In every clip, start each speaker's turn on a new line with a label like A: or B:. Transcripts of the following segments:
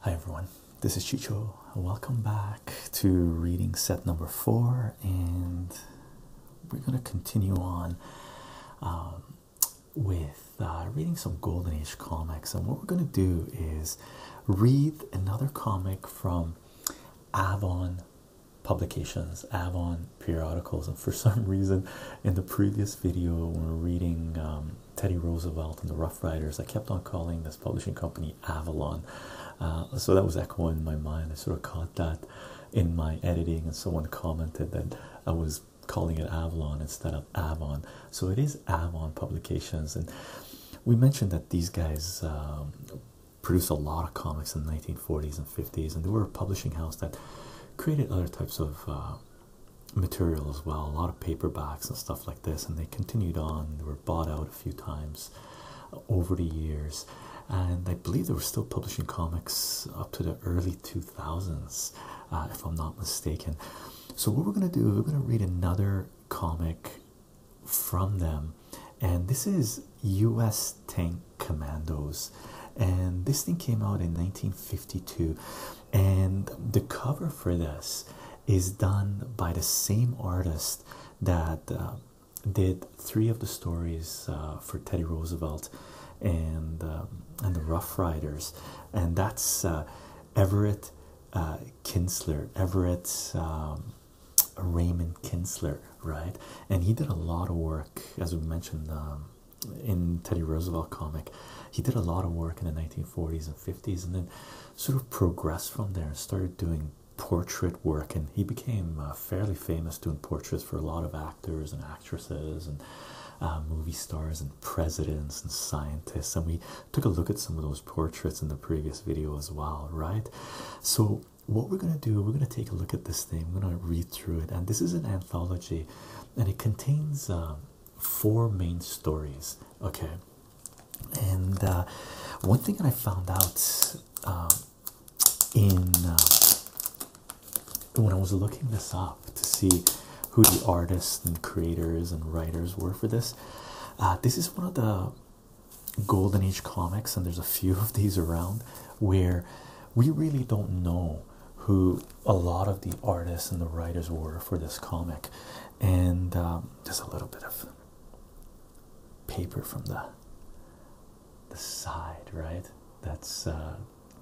A: Hi everyone, this is Chicho. Welcome back to reading set number four, and we're going to continue on um, with uh, reading some Golden Age comics. And what we're going to do is read another comic from Avon Publications, Avon Periodicals. And for some reason, in the previous video, we we're reading um, Teddy Roosevelt and the Rough Riders. I kept on calling this publishing company Avalon, uh, so that was echoing in my mind. I sort of caught that in my editing, and someone commented that I was calling it Avalon instead of Avon. So it is Avon Publications, and we mentioned that these guys um, produced a lot of comics in the 1940s and 50s, and they were a publishing house that created other types of uh, material as well, a lot of paperbacks and stuff like this, and they continued on. They were bought out a few times over the years, and I believe they were still publishing comics up to the early 2000s, uh, if I'm not mistaken. So, what we're going to do we're going to read another comic from them, and this is US Tank Commandos. And this thing came out in 1952, and the cover for this is done by the same artist that uh, did three of the stories uh, for Teddy Roosevelt and uh, and the Rough Riders, and that's Everett Kinsler, Everett um, Raymond Kinsler, right? And he did a lot of work, as we mentioned um, in Teddy Roosevelt comic. He did a lot of work in the 1940s 50s and then sort of progressed from there and started doing portrait work and he became uh, fairly famous doing portraits for a lot of actors and actresses and uh, movie stars and presidents and scientists and we took a look at some of those portraits in the previous video as well right so what we're going to do we're going to take a look at this thing i'm going to read through it and this is an anthology and it contains um, four main stories okay and uh, one thing that i found out um, in uh, when i was looking this up to see who the artists and creators and writers were for this uh, this is one of the golden age comics and there's a few of these around where we really don't know who a lot of the artists and the writers were for this comic and um, just a little bit of paper from the the side, right? That's uh,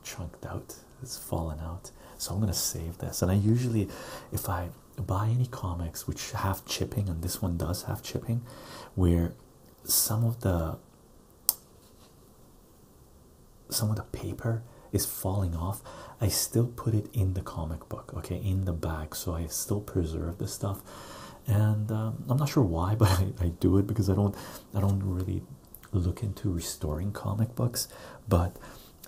A: chunked out. It's fallen out. So I'm gonna save this. And I usually, if I buy any comics which have chipping, and this one does have chipping, where some of the some of the paper is falling off, I still put it in the comic book, okay, in the bag. So I still preserve this stuff, and um, I'm not sure why, but I, do it because I don't, I don't really look into restoring comic books, but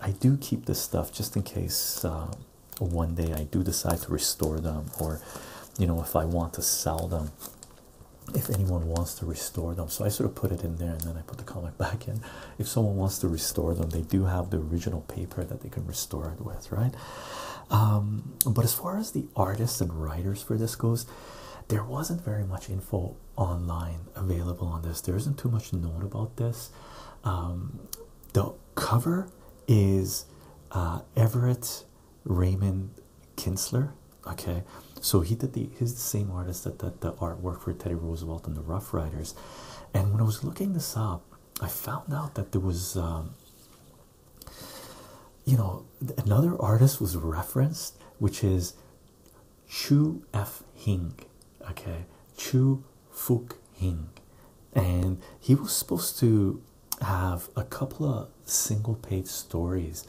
A: I do keep this stuff just in case uh, one day I do decide to restore them, or you know, if I want to sell them, if anyone wants to restore them. So I sort of put it in there, and then I put the comic back in. If someone wants to restore them, they do have the original paper that they can restore it with, right? Um, but as far as the artists and writers for this goes, there wasn't very much info online available on this. There isn't too much known about this. Um, the cover is uh, Everett Raymond Kinsler. Okay, so he did the he's the same artist that did the artwork for Teddy Roosevelt and the Rough Riders. And when I was looking this up, I found out that there was, um, you know, another artist was referenced, which is Chu F. Hing, okay, Chu Fuk Hing, and he was supposed to have a couple of single page stories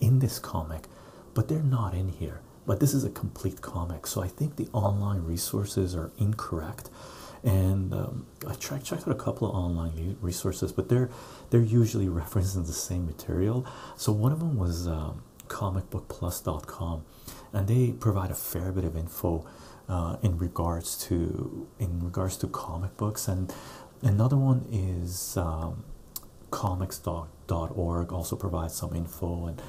A: in this comic, but they're not in here but this is a complete comic, so I think the online resources are incorrect. And um, I checked out a couple of online resources, but they're they're usually referencing the same material. So one of them was um, comicbookplus.com, and they provide a fair bit of info uh, in regards to in regards to comic books. And another one is um, comics.org also provides some info info and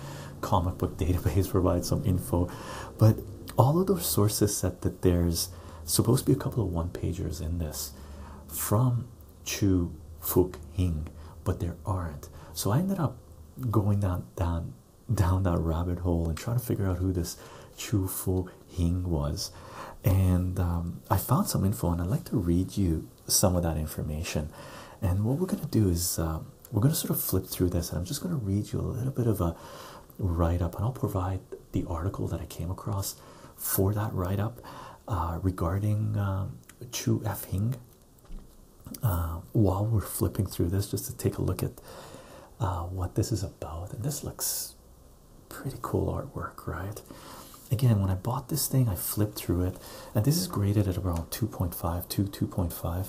A: comic book database provide some info but all of those sources said that there's supposed to be a couple of one pagers in this from Chu Fuk Hing but there aren't so I ended up going down down down that rabbit hole and trying to figure out who this Chu Fuk Hing was and um, I found some info and I'd like to read you some of that information and what we're gonna do is um, we're going to sort of flip through this and I'm just going to read you a little bit of a write up, and I'll provide the article that I came across for that write up uh, regarding um, Chu F. Hing. Uh, while we're flipping through this, just to take a look at uh, what this is about, and this looks pretty cool artwork, right? Again, when I bought this thing, I flipped through it, and this is graded at around 2.5 to 2.5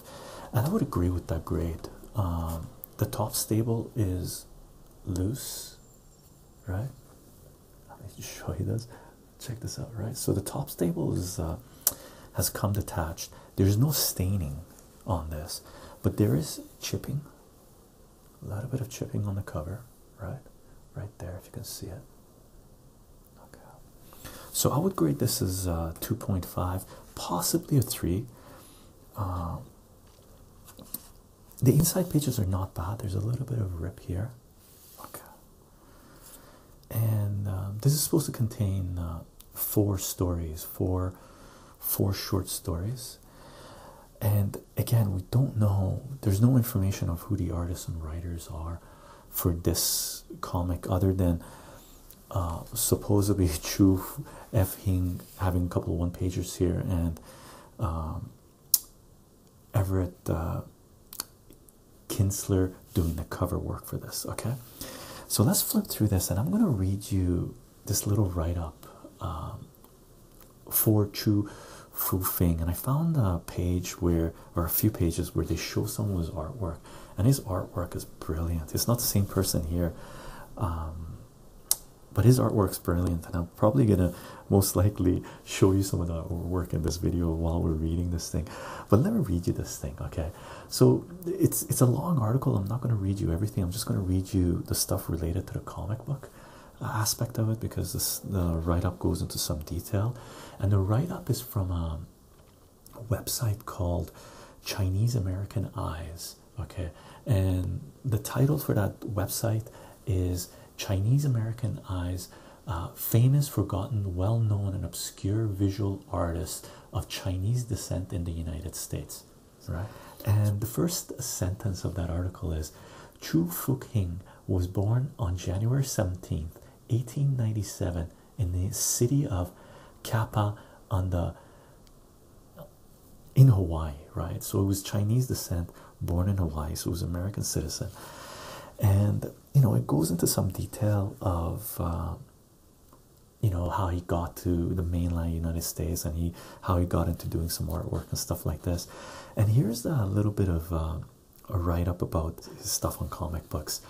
A: and I would agree with that grade. Um, the top stable is loose, right? Let me show you this. Check this out, right? So the top stable is uh, has come detached. There is no staining on this, but there is chipping. A little bit of chipping on the cover, right? Right there, if you can see it. Okay. So I would grade this as uh, 2.5, possibly a 3. Um, the inside pages are not bad. There's a little bit of rip here. Okay. And um, this is supposed to contain uh, four stories, four, four short stories. And again, we don't know. There's no information of who the artists and writers are for this comic, other than uh, supposedly Chu F. Hing having a couple of one pages here, and um, Everett uh, Kinsler doing the cover work for this. Okay, so let's flip through this, and I'm going to read you this little write up um, for Chu Fu Fing. And I found a page where or a few pages where they show someone's artwork, and his artwork is brilliant. It's not the same person here, um, but his artwork's brilliant, and I'm probably gonna most likely show you some of the work in this video while we're reading this thing. But let me read you this thing, okay? So it's it's a long article. I'm not gonna read you everything. I'm just gonna read you the stuff related to the comic book aspect of it because the write-up goes into some detail and the write-up is from um, website called Chinese American Eyes. Okay, and the title for that website is Chinese American Eyes uh, Famous, Forgotten, Well Known, and Obscure Visual Artists of Chinese Descent in the United States. Right, and the first sentence of that article is Chu Fuk Hing was born on January 17th 1897 in the city of Kapa on the in Hawaii, right? So it was Chinese descent, born in Hawaii, so it was American citizen, and you know it goes into some detail of uh, you know how he got to the mainland United States and he how he got into doing some artwork and stuff like this. And here's a little bit of uh, a write up about his stuff on comic books.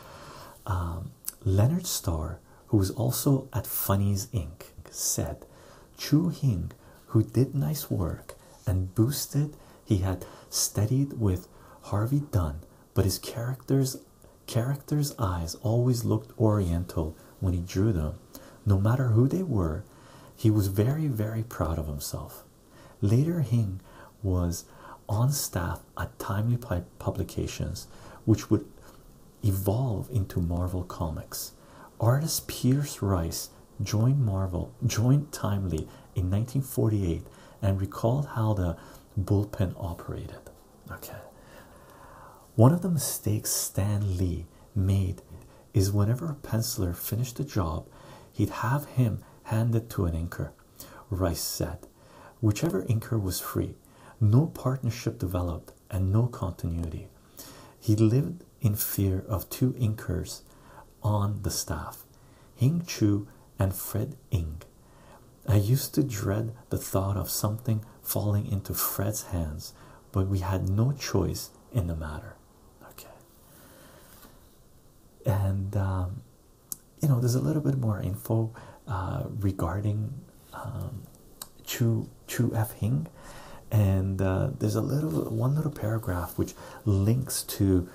A: Um, Leonard Starr, who was also at Funnies Inc., said Chu Hing, who did nice work and boosted, he had studied with Harvey Dunn, but his characters characters' eyes always looked oriental when he drew them, no matter who they were. He was very, very proud of himself. Later, Hing was on staff at timely publications which would evolve into Marvel Comics. Artist Pierce Rice joined Marvel, joined Timely in 1948 and recalled how the bullpen operated. Okay. One of the mistakes Stan Lee made is whenever a penciler finished a job, he'd have him hand it to an inker. Rice said, Whichever inker was free, no partnership developed and no continuity. He lived in fear of two inkers on the staff, Hing Chu and Fred Ing. I used to dread the thought of something falling into Fred's hands, but we had no choice in the matter. Okay. And um, you know, there's a little bit more info uh, regarding um, Chu Chu F Hing, and uh, there's a little one little paragraph which links to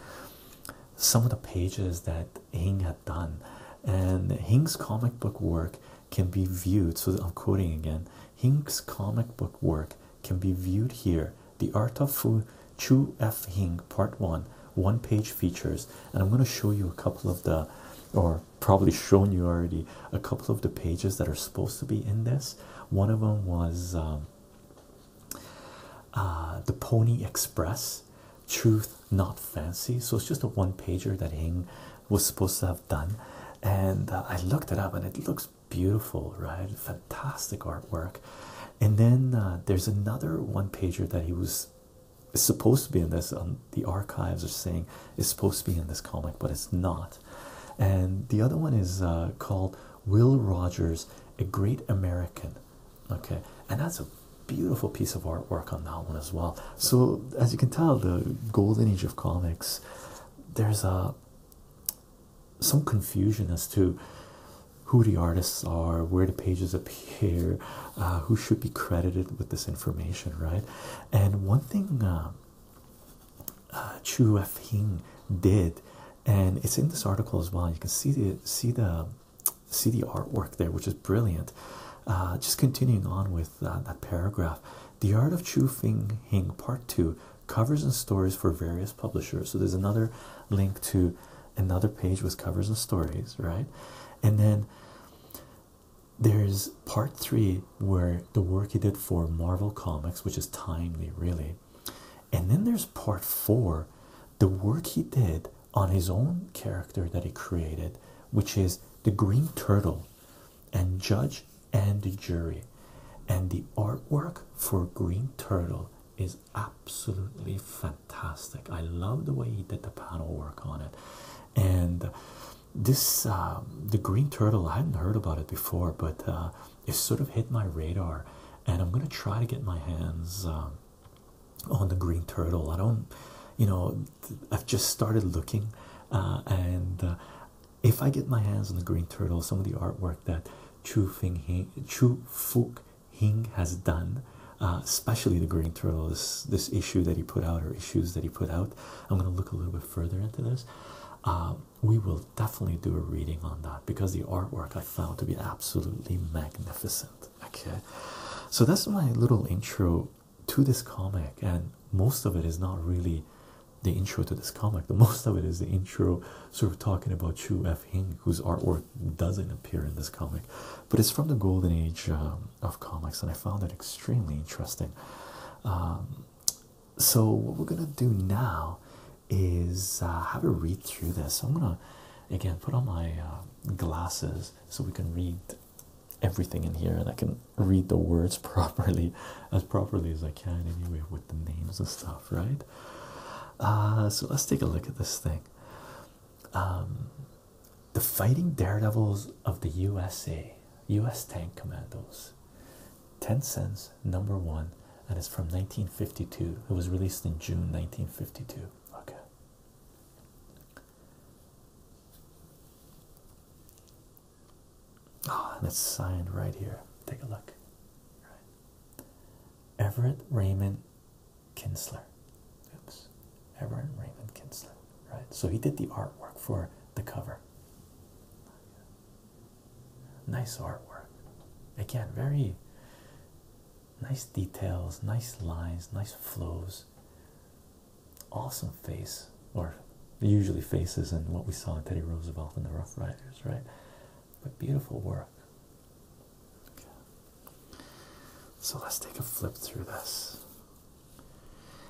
A: some of the pages that Hing had done, and Hing's comic book work can be viewed. So I'm quoting again: Hing's comic book work can be viewed here. The Art of Fu Chu F Hing Part One one page features and i'm going to show you a couple of the or probably shown you already a couple of the pages that are supposed to be in this one of them was um, uh, the pony express truth not fancy so it's just a one pager that hing was supposed to have done and uh, i looked it up and it looks beautiful right fantastic artwork and then uh, there's another one pager that he was is supposed to be in this, and um, the archives are saying it's supposed to be in this comic, but it's not. And the other one is uh, called Will Rogers, a Great American. Okay, and that's a beautiful piece of artwork on that one as well. So, as you can tell, the golden age of comics, there's a uh, some confusion as to who the artists are, where the pages appear here uh, who should be credited with this information, right? And one thing uh, uh, Chu F. did, and it's in this article as well. You can see the see the see the artwork there, which is brilliant. Uh, just continuing on with uh, that paragraph, the art of Chu Feng Hing Part Two covers and stories for various publishers. So there's another link to another page with covers and stories, right? And then there's part three where the work he did for Marvel Comics, which is timely, really. And then there's part four, the work he did on his own character that he created, which is the Green Turtle and Judge and the Jury. And the artwork for Green Turtle is absolutely fantastic fantastic. I love the way he did the panel work on it. And uh, this, um, the green turtle, I hadn't heard about it before, but uh, it sort of hit my radar. And I'm going to try to get my hands um, on the green turtle. I don't, you know, I've just started looking. Uh, and if I get my hands on the green turtle, some of the artwork that Chu Fing Chu Fook Hing has done, uh, especially the Green Turtle, this, issue that he put out or issues that he put out. I'm going to look a little bit further into this. Uh, we will definitely do a reading on that because the artwork I found to be absolutely magnificent. Okay, so that's my little intro to this comic, and most of it is not really the intro to this comic, the most of it is the intro sort of talking about Chu F. Hing, whose artwork doesn't appear in this comic, but it's from the Golden Age um, of comics, and I found it extremely interesting. Um, so, what we're gonna do now is uh, have a read through this. I'm gonna again put on my uh, glasses so we can read everything in here, and I can read the words properly as properly as I can, anyway, with the names and stuff, right? Uh, so, let's take a look at this thing. Um, the Fighting Daredevils of the USA, US Tank Commandos, 10 cents, number one, and it's from 1952. It was released in June 1952. Okay. Oh, and it's signed right here. Take a look. Right. Everett Raymond Kinsler. Oops. Everett Raymond Kinsler, right? So he did the artwork for the cover. Nice artwork. Again, very nice details, nice lines, nice flows. Awesome face, or usually faces, and what we saw in Teddy Roosevelt and the Rough Riders, right? But beautiful work. So let's take a flip through this.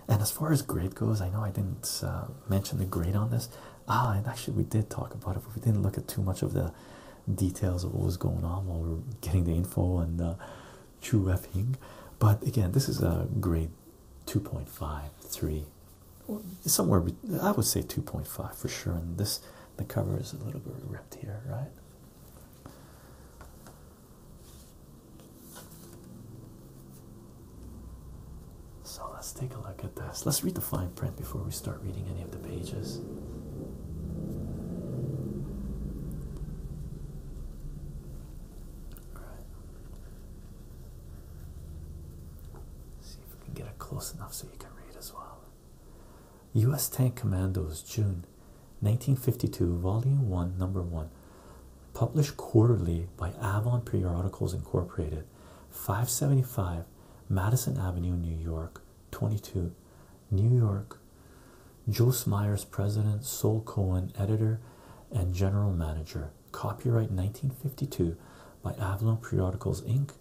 A: And as far as grade goes, I know I didn't uh, mention the grade on this. Ah, and actually, we did talk about it, but we didn't look at too much of the details of what was going on while we were getting the info and uh, true effing. But again, this is a uh, grade two point five three, somewhere, I would say 2.5 for sure. And this, the cover is a little bit ripped here, right? So let's take a look at this. Let's read the fine print before we start reading any of the pages. All right. See if we can get it close enough so you can read as well. U.S. Tank Commandos, June 1952, Volume 1, Number 1, published quarterly by Avon Periodicals Incorporated, 575 Madison Avenue, New York, 22, New York. Jose Myers, President, Sol Cohen, Editor and General Manager. Copyright 1952 by Avon Periodicals Inc.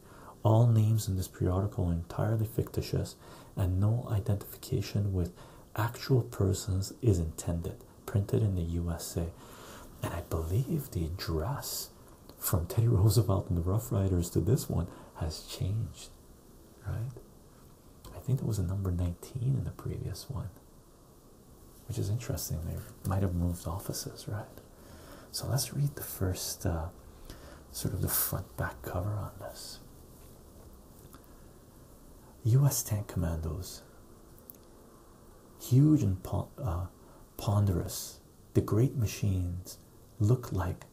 A: All names in this periodical are entirely fictitious and no identification with actual persons is intended, printed in the USA. And I believe the address from Teddy Roosevelt and the Rough Riders to this one has changed, right? I think it was a number 19 in the previous one, which is interesting. They might have moved offices, right? So let's read the first uh, sort of the front back cover on this. U.S. tank commandos, huge and uh, ponderous, the great machines looked like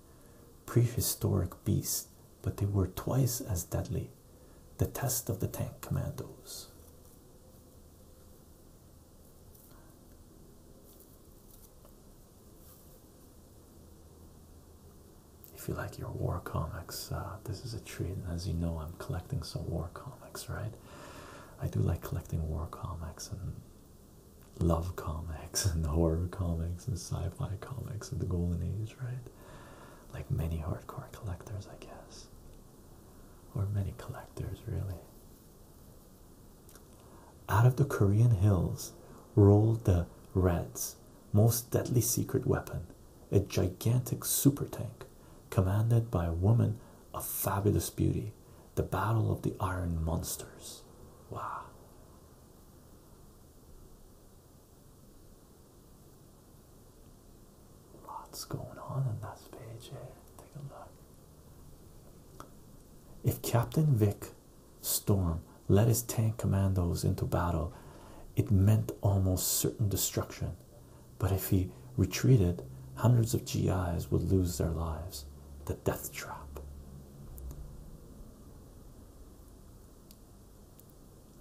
A: prehistoric beasts, but they were twice as deadly. The test of the tank commandos if you like your war comics, uh, this is a treat. as you know, I'm collecting some war comics, right? I do like collecting war comics and love comics and horror comics and sci-fi comics of the golden age, right? Like many hardcore collectors, I guess, or many collectors, really. Out of the Korean hills rolled the Reds, most deadly secret weapon, a gigantic super tank commanded by a woman of fabulous beauty, the Battle of the Iron Monsters. Wow. Lots going on on that page Take a look. If Captain Vic storm led his tank commandos into battle, it meant almost certain destruction. But if he retreated, hundreds of GIs would lose their lives. The death trap.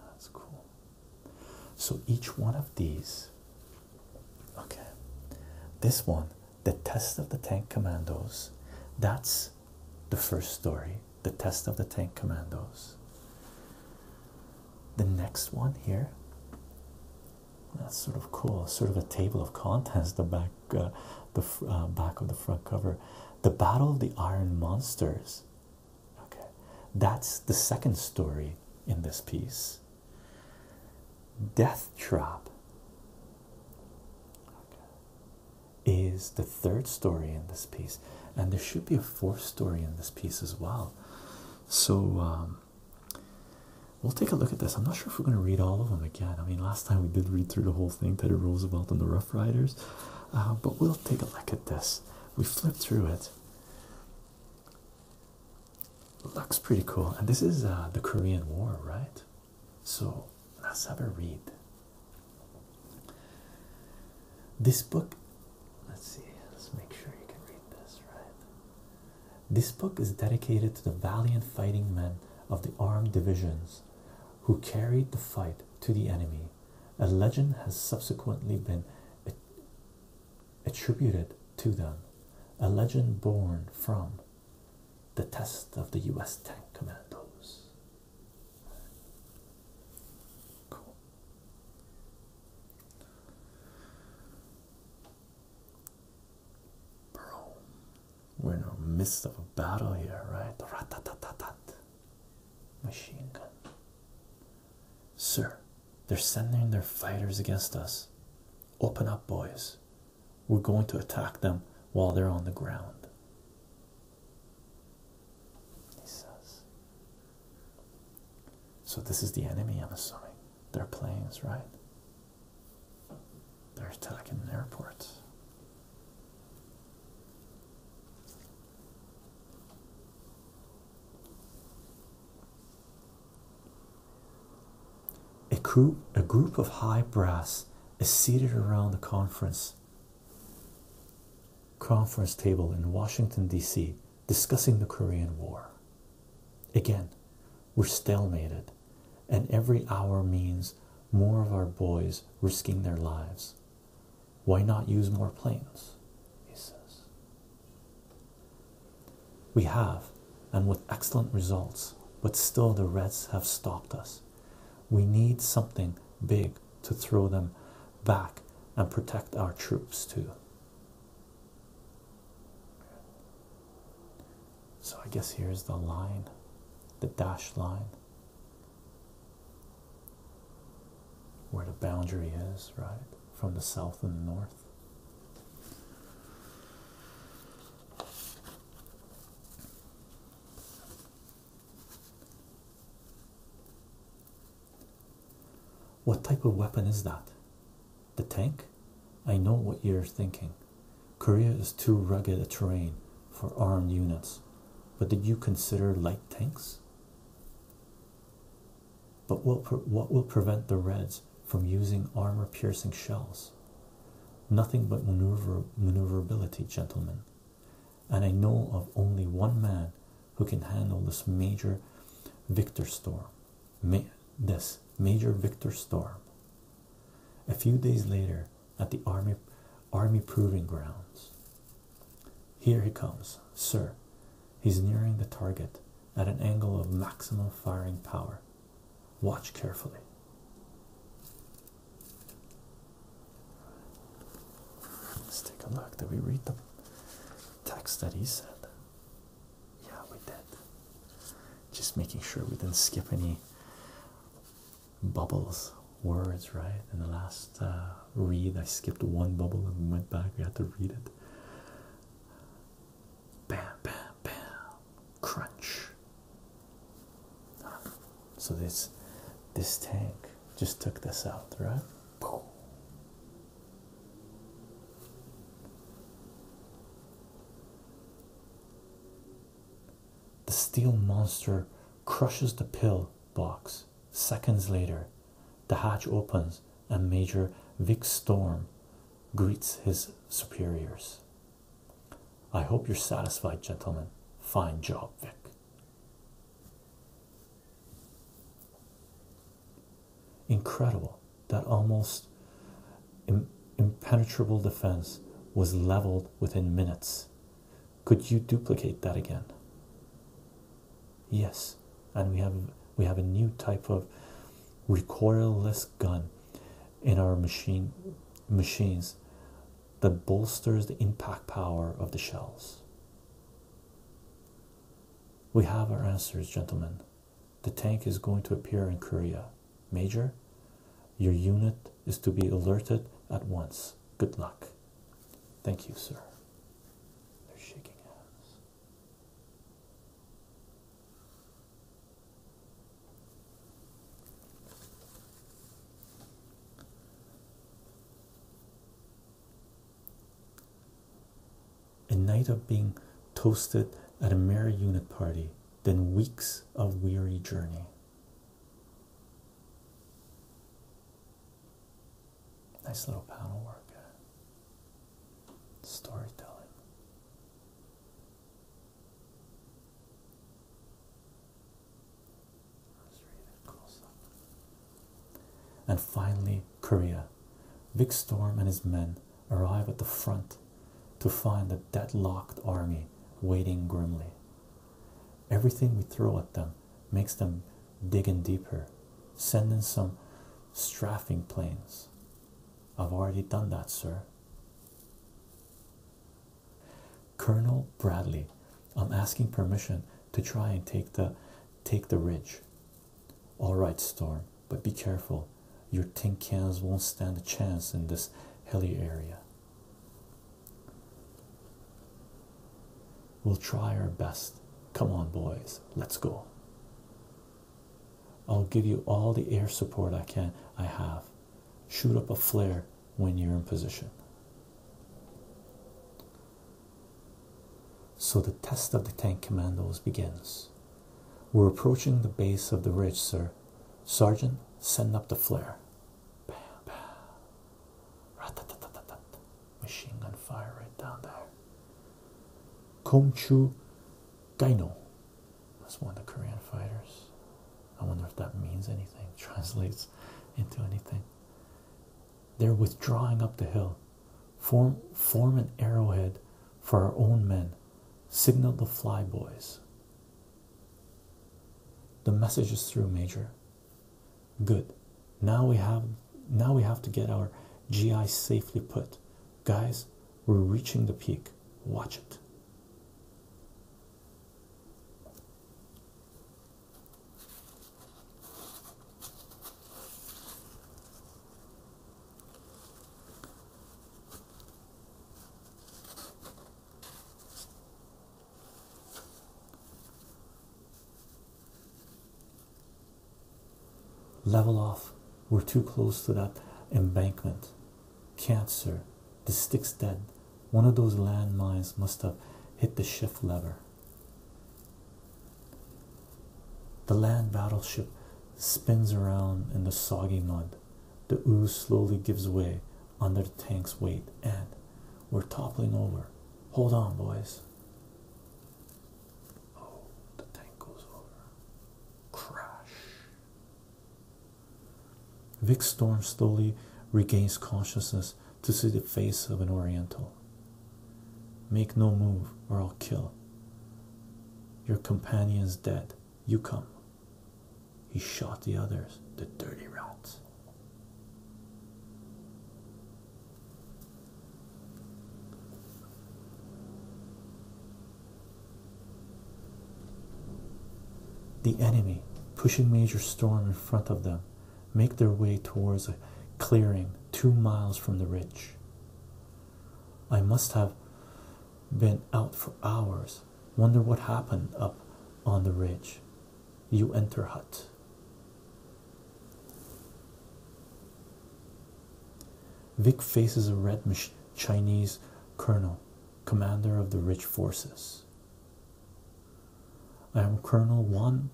A: That's cool. So each one of these, okay, this one, the test of the tank commandos, that's the first story. The Test of the Tank Commandos. The next one here, that's sort of cool, sort of a table of contents, the back, uh, the uh, back of the front cover. The Battle of the Iron Monsters. Okay, that's the second story in this piece. Death Trap is the third story in this piece, and there should be a fourth story in this piece as well. So, um, we'll take a look at this. I'm not sure if we're going to read all of them again. I mean, last time we did read through the whole thing Teddy Roosevelt and the Rough Riders, uh, but we'll take a look at this. We flip through it. Looks pretty cool, and this is uh, the Korean War, right? So let's have a read. This book, let's see, let's make sure you can read this right. This book is dedicated to the valiant fighting men of the armed divisions who carried the fight to the enemy. A legend has subsequently been attributed to them, a legend born from the test of the US tank commandos. Bro, we're in the midst of a battle here, right? machine gun. Sir, they're sending their fighters against us. Open up, boys. We're going to attack them while they're on the ground he says. So, this is the enemy, I'm assuming. Their planes, right? They're attacking the airport. A group, a group of high brass is seated around the conference conference table in Washington, D.C., discussing the Korean War. Again, we're stalemated, and every hour means more of our boys risking their lives. Why not use more planes? He says. We have, and with excellent results, but still the Reds have stopped us. We need something big to throw them back and protect our troops too. So I guess here's the line, the dashed line, where the boundary is, right? From the south and the north. What type of weapon is that? The tank? I know what you're thinking. Korea is too rugged a terrain for armed units, but did you consider light tanks? But what, will prevent the Reds from using armor piercing shells? Nothing but maneuverability, gentlemen and I know of only one man who can handle this major Victor storm. this major Victor storm. A few days later, at the army army proving grounds, here he comes, sir. He's nearing the target at an angle of maximum firing power. Watch carefully. Let's take a look. Did we read the text that he said? Yeah, we did. Just making sure we didn't skip any bubbles, words, right? In the last uh, read, I skipped one bubble and went back. We had to read it. Bam, bam, bam. Crunch. So this this tank just took this out, right? Boom. The steel monster crushes the pill box. Seconds later, the hatch opens and Major Vic Storm greets his superiors. I hope you're satisfied, gentlemen. Fine job, Vic. Incredible that almost impenetrable defense was leveled within minutes. Could you duplicate that again? Yes, and we have we have a new type of recoilless gun in our machine machines that bolsters the impact power of the shells. We have our answers, gentlemen. The tank is going to appear in Korea. Major, your unit is to be alerted at once. Good luck. Thank you, sir. They're shaking hands. A night of being toasted at a merry unit party, then weeks of weary journey. Nice little panel work. Eh? Storytelling. And finally, Korea. Vic Storm and his men arrive at the front to find the deadlocked army waiting grimly. Everything we throw at them makes them digging deeper, sending some strafing planes. I've already done that, sir. Colonel Bradley, I'm asking permission to try and take the take the ridge. Alright, Storm, but be careful. Your tin cans won't stand a chance in this hilly area. We'll try our best. Come on, boys, let's go. I'll give you all the air support I can I have. Shoot up a flare when you're in position. So the test of the tank commandos begins. We're approaching the base of the ridge, sir. Sergeant, send up the flare. Machine gun fire right down there. Komchu Gaino. That's one of the Korean fighters. I wonder if that means anything, translates into anything. They're withdrawing up the hill. Form, form an arrowhead for our own men. Signal the flyboys. The message is through, Major. Good. Now we have now we have to get our GI safely put. Guys, we're reaching the peak. Watch it. Level off. We're too close to that embankment. Cancer. The stick's dead. One of those landmines must have hit the shift lever. The land battleship spins around in the soggy mud. The ooze slowly gives way under the tank's weight, and we're toppling over. Hold on, boys. Oh, the tank goes over. Crash. Vic Storm slowly regains consciousness to see the face of an Oriental. Make no move, or I'll kill. Your companion's dead. You come. He shot the others, the dirty rats. The enemy pushing Major Storm in front of them make their way towards a clearing two miles from the ridge. I must have been out for hours. Wonder what happened up on the ridge. You enter hut. Vic faces a red Chinese colonel, commander of the ridge forces. I am Colonel Wan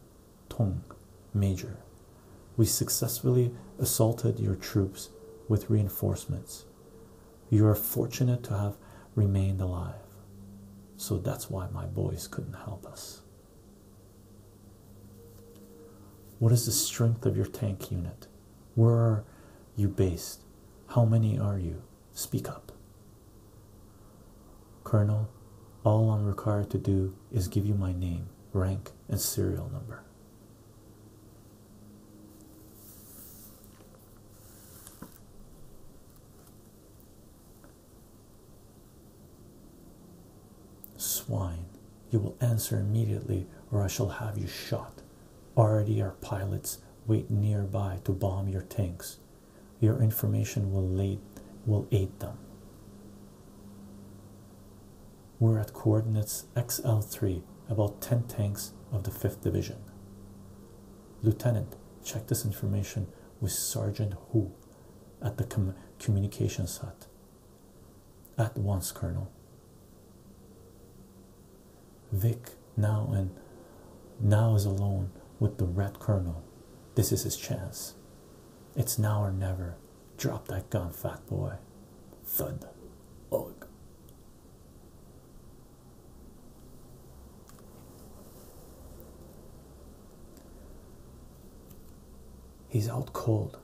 A: Tong, Major. We successfully assaulted your troops with reinforcements. You are fortunate to have remained alive. So that's why my boys couldn't help us. What is the strength of your tank unit? Where are you based? How many are you? Speak up. Colonel, all I'm required to do is give you my name, rank, and serial number. Swine, you will answer immediately, or I shall have you shot. Already, our pilots wait nearby to bomb your tanks. Your information will aid, will aid them. We're at coordinates XL3, about 10 tanks of the 5th Division. Lieutenant, check this information with Sergeant Hu, at the com communications hut. At once, Colonel. Vic now and now is alone with the Red Colonel this is his chance. It's now or never. Drop that gun, fat boy. Thud. Ugh. He's out cold.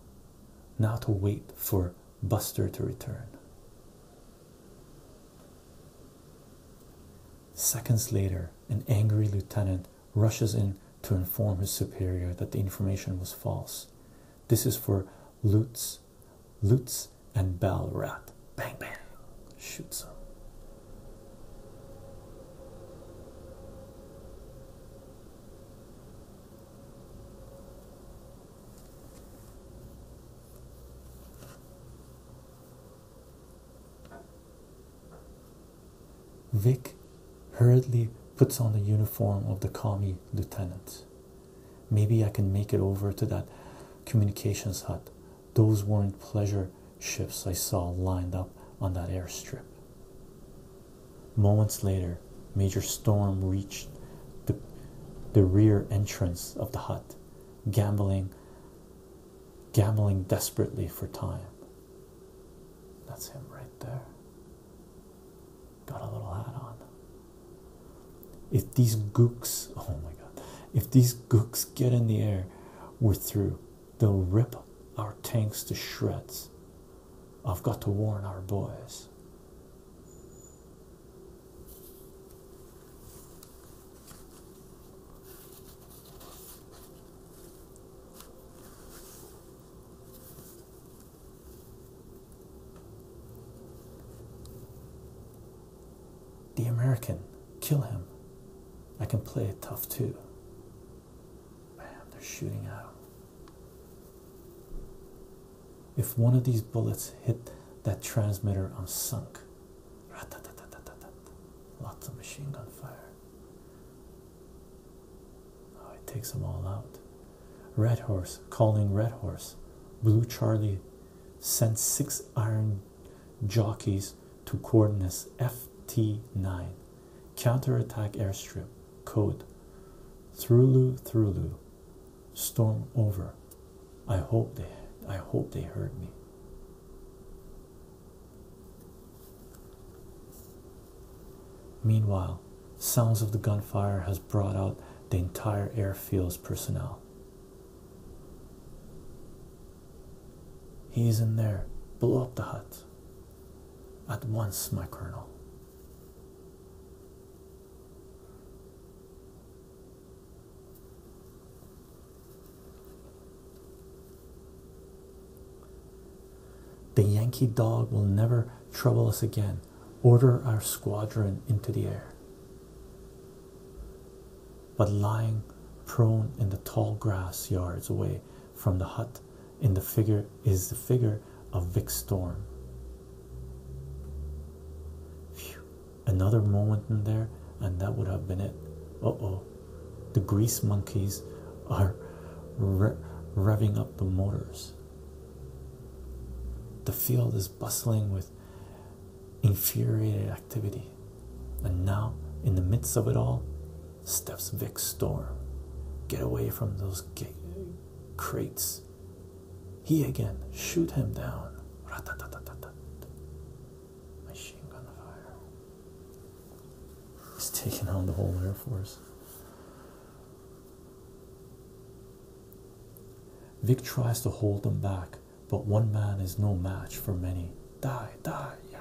A: Now to wait for Buster to return. Seconds later, an angry lieutenant rushes in to inform his superior that the information was false. This is for Lutz, Lutz and Balrat. Bang bang. shoot him. Vic hurriedly puts on the uniform of the commie lieutenant. Maybe I can make it over to that communications hut. Those weren't pleasure ships I saw lined up on that airstrip. Moments later, Major Storm reached the, rear entrance of the hut, gambling, gambling desperately for time. That's him right there. Got a little hat on. If these gooks, oh my god, if these gooks get in the air, we're through. They'll rip our tanks to shreds. I've got to warn our boys. The American, kill him. I can play it tough too. Bam, they're shooting at him. If one of these bullets hit that transmitter, I'm sunk. Lots of machine gun fire. Oh, it takes them all out. Red Horse calling Red Horse. Blue Charlie sent six iron jockeys to coordinates FT9. Counterattack airstrip. Code Through Through Storm over. I hope they I hope they heard me. Meanwhile, sounds of the gunfire has brought out the entire airfield's personnel. He's in there. Blow up the hut. At once, my colonel. The Yankee dog will never trouble us again. Order our squadron into the air. But lying prone in the tall grass yards away from the hut in the figure is the figure of Vic Storm. Another moment in there, and that would have been it. Uh oh. The grease monkeys are revving up the motors. The field is bustling with infuriated activity, and now, in the midst of it all, steps Vic Storm. Get away from those crates. He again, shoot him down. He's taking on the whole Air Force. Vic tries to hold them back, but one man is no match for many. Die, die, yeah.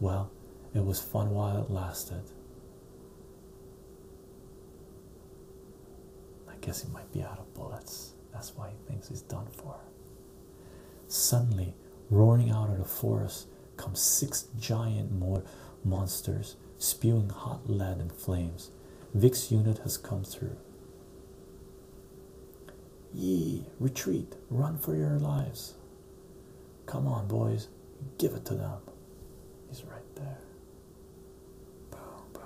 A: Well, it was fun while it lasted. I guess he might be out of bullets. That's why he thinks he's done for. Suddenly, roaring out of the forest, come six giant mo monsters spewing hot lead and flames. Vic's unit has come through. Ye, retreat, run for your lives. Come on, boys, give it to them. He's right there. Boom, boom.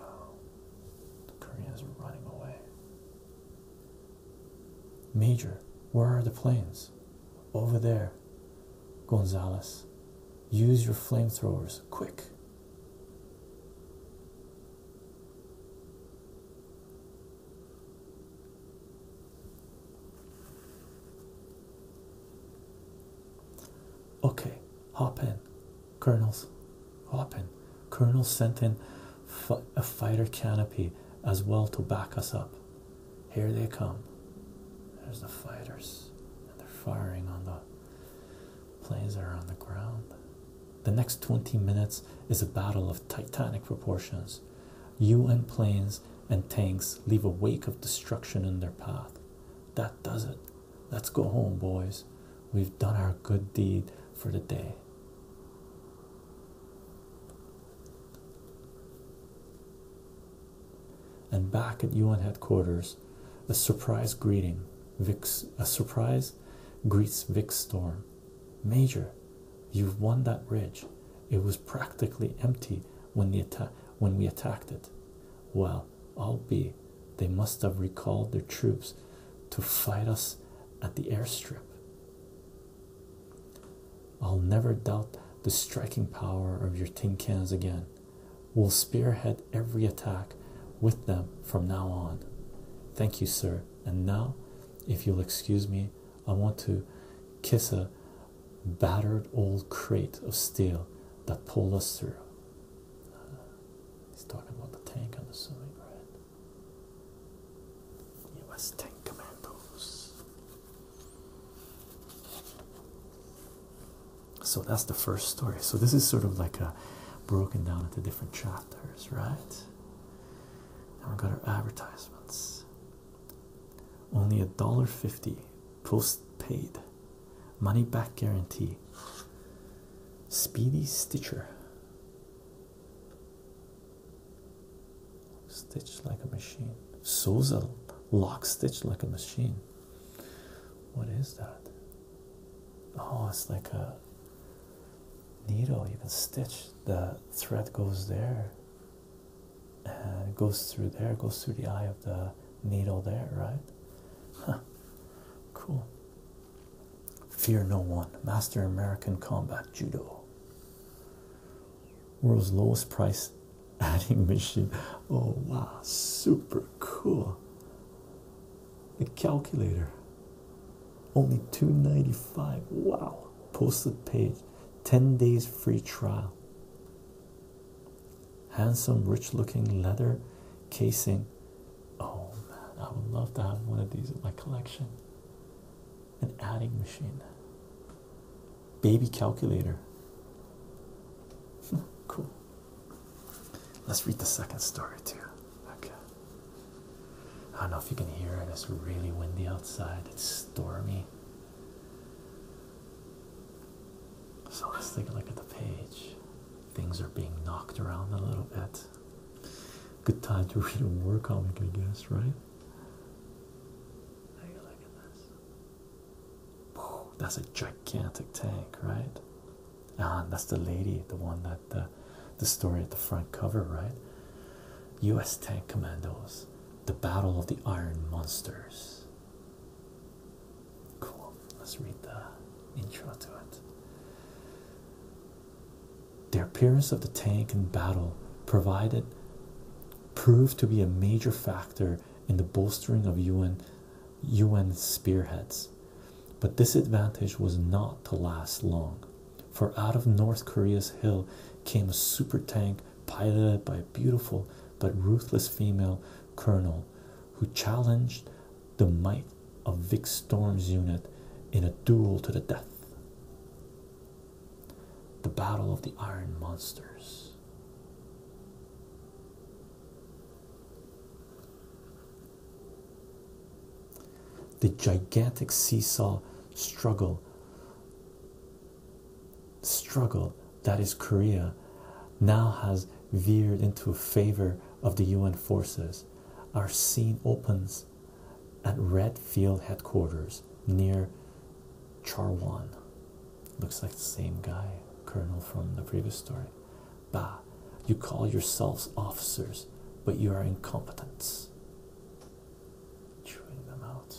A: The Koreans are running away. Major, where are the planes? Over there. Gonzalez, use your flamethrowers, quick. Okay, hop in, colonels. Hop in. Colonel sent in a fighter canopy as well to back us up. Here they come. There's the fighters, and they're firing on the planes that are on the ground. The next 20 minutes is a battle of titanic proportions. UN planes and tanks leave a wake of destruction in their path. That does it. Let's go home, boys. We've done our good deed for the day. And back at Yuan headquarters, a surprise greeting. Vic's a surprise greets Vic Storm. Major, you've won that ridge. It was practically empty when the attack when we attacked it. Well, I'll be. They must have recalled their troops to fight us at the airstrip. I'll never doubt the striking power of your tin cans again. We'll spearhead every attack with them from now on. Thank you, sir. And now, if you'll excuse me, I want to kiss a battered old crate of steel that pulled us through. Uh, he's talking about the tank, i the assuming, right? It was Tank Commandos. So that's the first story. So this is sort of like a broken down into different chapters, right? Now we've got our advertisements. Only a dollar fifty post paid. Money back guarantee. Speedy Stitcher. Stitched like a machine. sews a lock stitch like a machine. What is that? Oh, it's like a needle. You can stitch. The thread goes there and goes through there, goes through the eye of the needle there, right? Cool. Fear no one. Master American Combat Judo. World's lowest price adding machine. Oh wow, super cool. The calculator. Only $295. Wow. Posted page. 10 days free trial. Handsome, rich looking leather casing. Oh man, I would love to have one of these in my collection an adding machine, baby calculator. cool. Let's read the second story too. Okay. I don't know if you can hear it. It's really windy outside. It's stormy. So let's take a look at the page. Things are being knocked around a little bit. Good time to read a war comic, I guess, right? look at this. That's a gigantic tank, right? Ah, that's the lady, the one that uh, the story at the front cover, right? U.S. Tank Commandos, the Battle of the Iron Monsters. Cool. Let's read the intro to it. The appearance of the tank in battle provided proved to be a major factor in the bolstering of UN UN spearheads. But this advantage was not to last long, for out of North Korea's hill came a super tank piloted by a beautiful but ruthless female colonel who challenged the might of Vic Storm's unit in a duel to the death. The Battle of the Iron Monsters. The gigantic seesaw struggle struggle that is Korea now has veered into favor of the UN forces. Our scene opens at Red Field headquarters near Charwan. Looks like the same guy, Colonel from the previous story. Bah, you call yourselves officers, but you are incompetents. Chewing them out.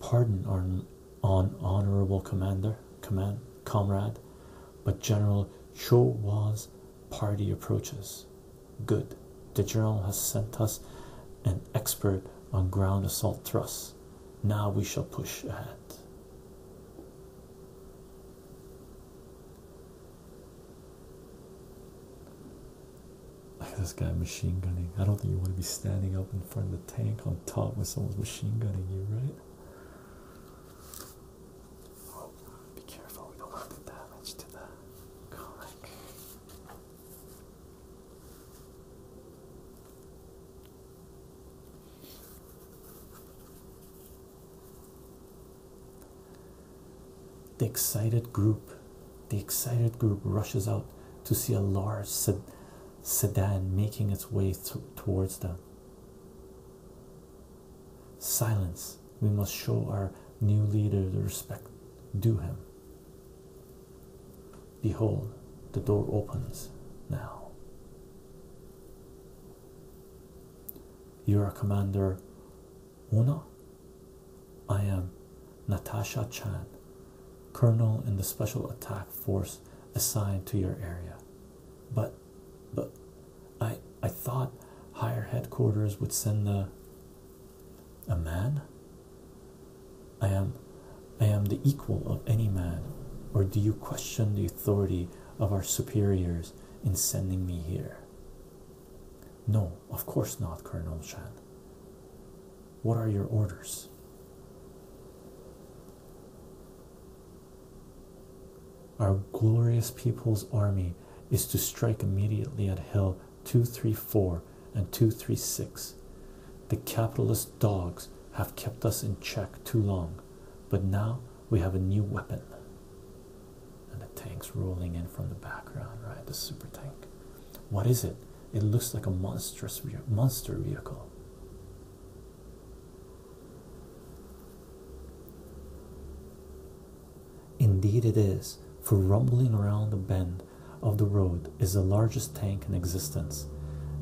A: Pardon on, honorable commander, command, comrade, but General Cho Wa's party approaches. Good. The journal has sent us an expert on ground assault thrusts. Now we shall push ahead. This guy machine gunning. I don't think you want to be standing up in front of the tank on top when someone's machine gunning you, right? be careful, we don't want to damage to that. The excited group, the excited group rushes out to see a large sedan making its way towards them. Silence. We must show our new leader the respect due him. Behold, the door opens now. You are a Commander Uno. I am Natasha Chan, Colonel in the Special Attack Force assigned to your area. But, but, I I thought higher headquarters would send a a man. I am I am the equal of any man, or do you question the authority of our superiors in sending me here? No, of course not, Colonel Shan. What are your orders? Our glorious people's army is to strike immediately at Hill 234 and 236. The capitalist dogs have kept us in check too long, but now we have a new weapon. And the tank's rolling in from the background, right? The super tank. What is it? It looks like a monstrous monster vehicle. Indeed, it is, for rumbling around the bend of the road is the largest tank in existence,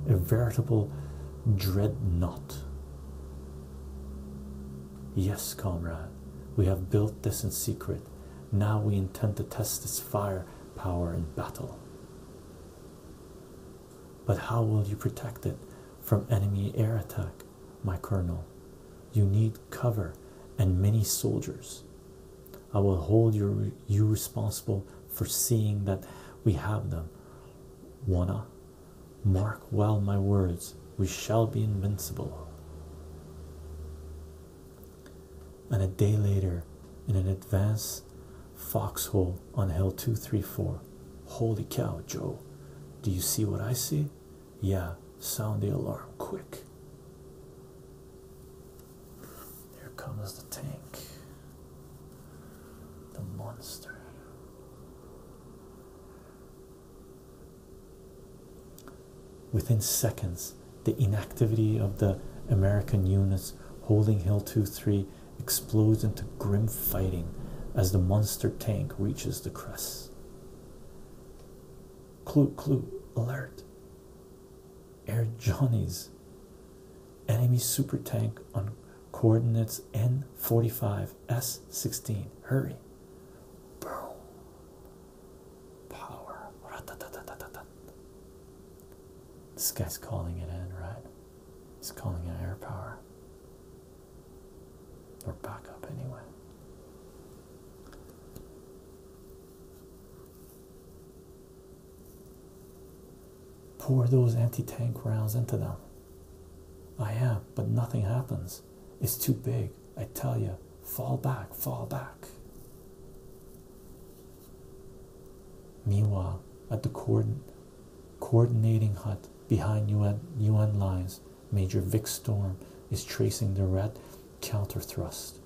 A: a veritable dreadnought. Yes, comrade, we have built this in secret. Now we intend to test its fire power in battle. But how will you protect it from enemy air attack? my colonel. You need cover and many soldiers. I will hold your, you responsible for seeing that we have them. Wanna? Mark well my words, we shall be invincible. And a day later, in an advance foxhole on Hill 234, holy cow, Joe, do you see what I see? Yeah, sound the alarm quick. Here comes the tank, the monster. Within seconds, the inactivity of the American units holding Hill 2-3 explodes into grim fighting as the monster tank reaches the crest clue, clue, alert. Air Johnny's enemy super tank on coordinates N45 S16. Hurry. Boom. Power. This guy's calling it in, right? He's calling it air power. Or backup, anyway. Pour those anti tank rounds into them. I am, but nothing happens. It's too big. I tell you, fall back, fall back. Meanwhile, at the coordin coordinating hut behind UN, UN lines, Major Vic Storm is tracing the red counter thrust.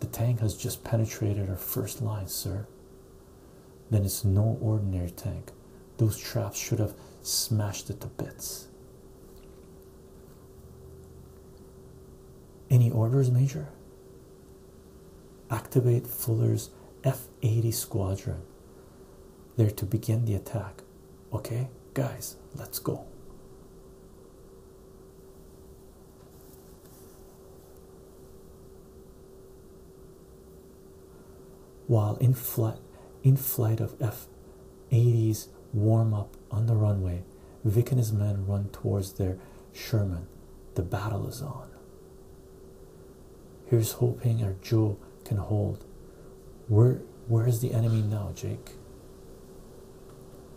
A: The tank has just penetrated our first line, sir. Then it's no ordinary tank. Those traps should have smashed it to bits. Any orders, Major? Activate Fuller's F 80 squadron. They're to begin the attack. Okay, guys, let's go. While in flight, in flight of F-80s warm up on the runway, Vic and his men run towards their Sherman. The battle is on. Here's hoping our Joe can hold. Where where is the enemy now, Jake?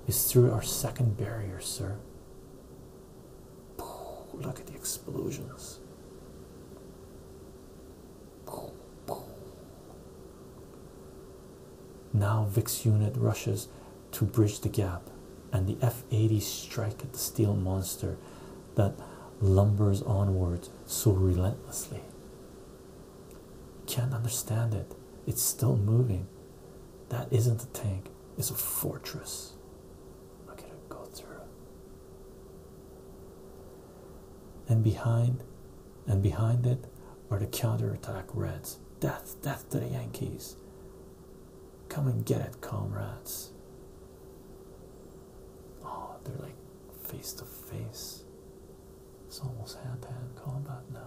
A: It's through our second barrier, sir. Look at the explosions. Now VIX unit rushes to bridge the gap, and the F-80s strike at the steel monster that lumbers onward so relentlessly. Can't understand it. It's still moving. That isn't a tank, it's a fortress. Look at it go through. And behind and behind it are the counterattack reds. Death, death to the Yankees. Come and get it, comrades. Oh, they're like face to face. It's almost hand to hand combat now.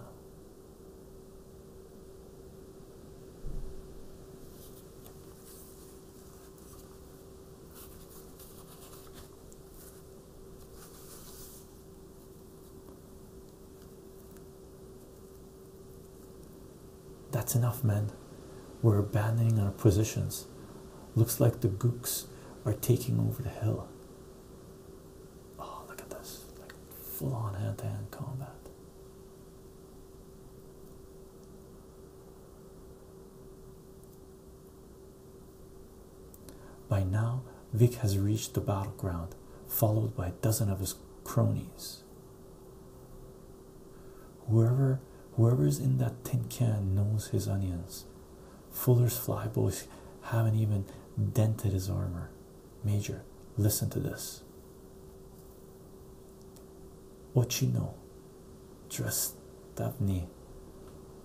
A: That's enough, men. We're abandoning our positions. Looks like the gooks are taking over the hill. Oh, look at this. Like full on hand to hand combat. By now, Vic has reached the battleground, followed by a dozen of his cronies. Whoever whoever's in that tin can knows his onions. Fuller's flyboys haven't even dented his armor. Major, listen to this. Ochino, you Trust Davni.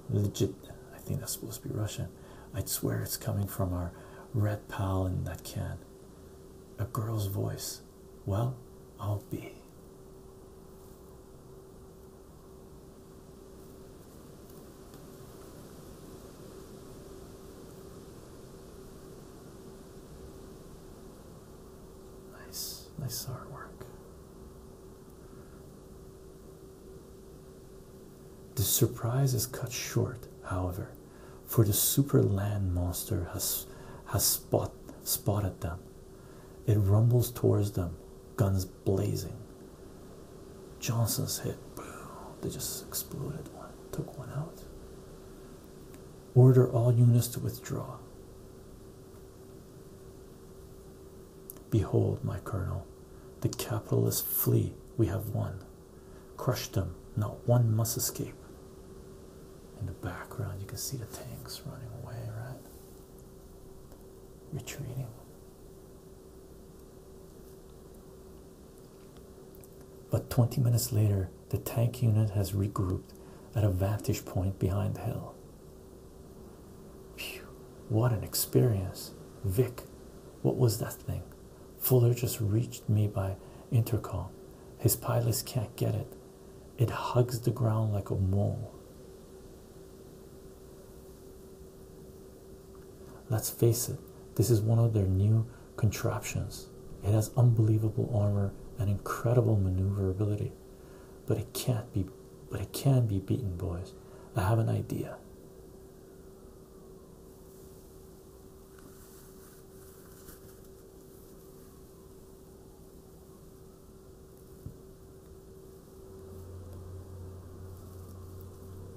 A: Legit, I think that's supposed to be Russian. I'd swear it's coming from our red pal in that can. A girl's voice. Well, I'll be. Nice, nice artwork. The surprise is cut short, however, for the super land monster has has spot, spotted them. It rumbles towards them, guns blazing. Johnson's hit, boom, they just exploded one, took one out. Order all units to withdraw. Behold, my colonel, the capitalists flee. We have won. Crush them, not one must escape. In the background, you can see the tanks running away, right? Retreating. But 20 minutes later, the tank unit has regrouped at a vantage point behind the hill. Phew, what an experience! Vic, what was that thing? Fuller just reached me by intercom. His pilots can't get it. It hugs the ground like a mole. Let's face it, this is one of their new contraptions. It has unbelievable armor and incredible maneuverability. But it can't be but it can be beaten, boys. I have an idea.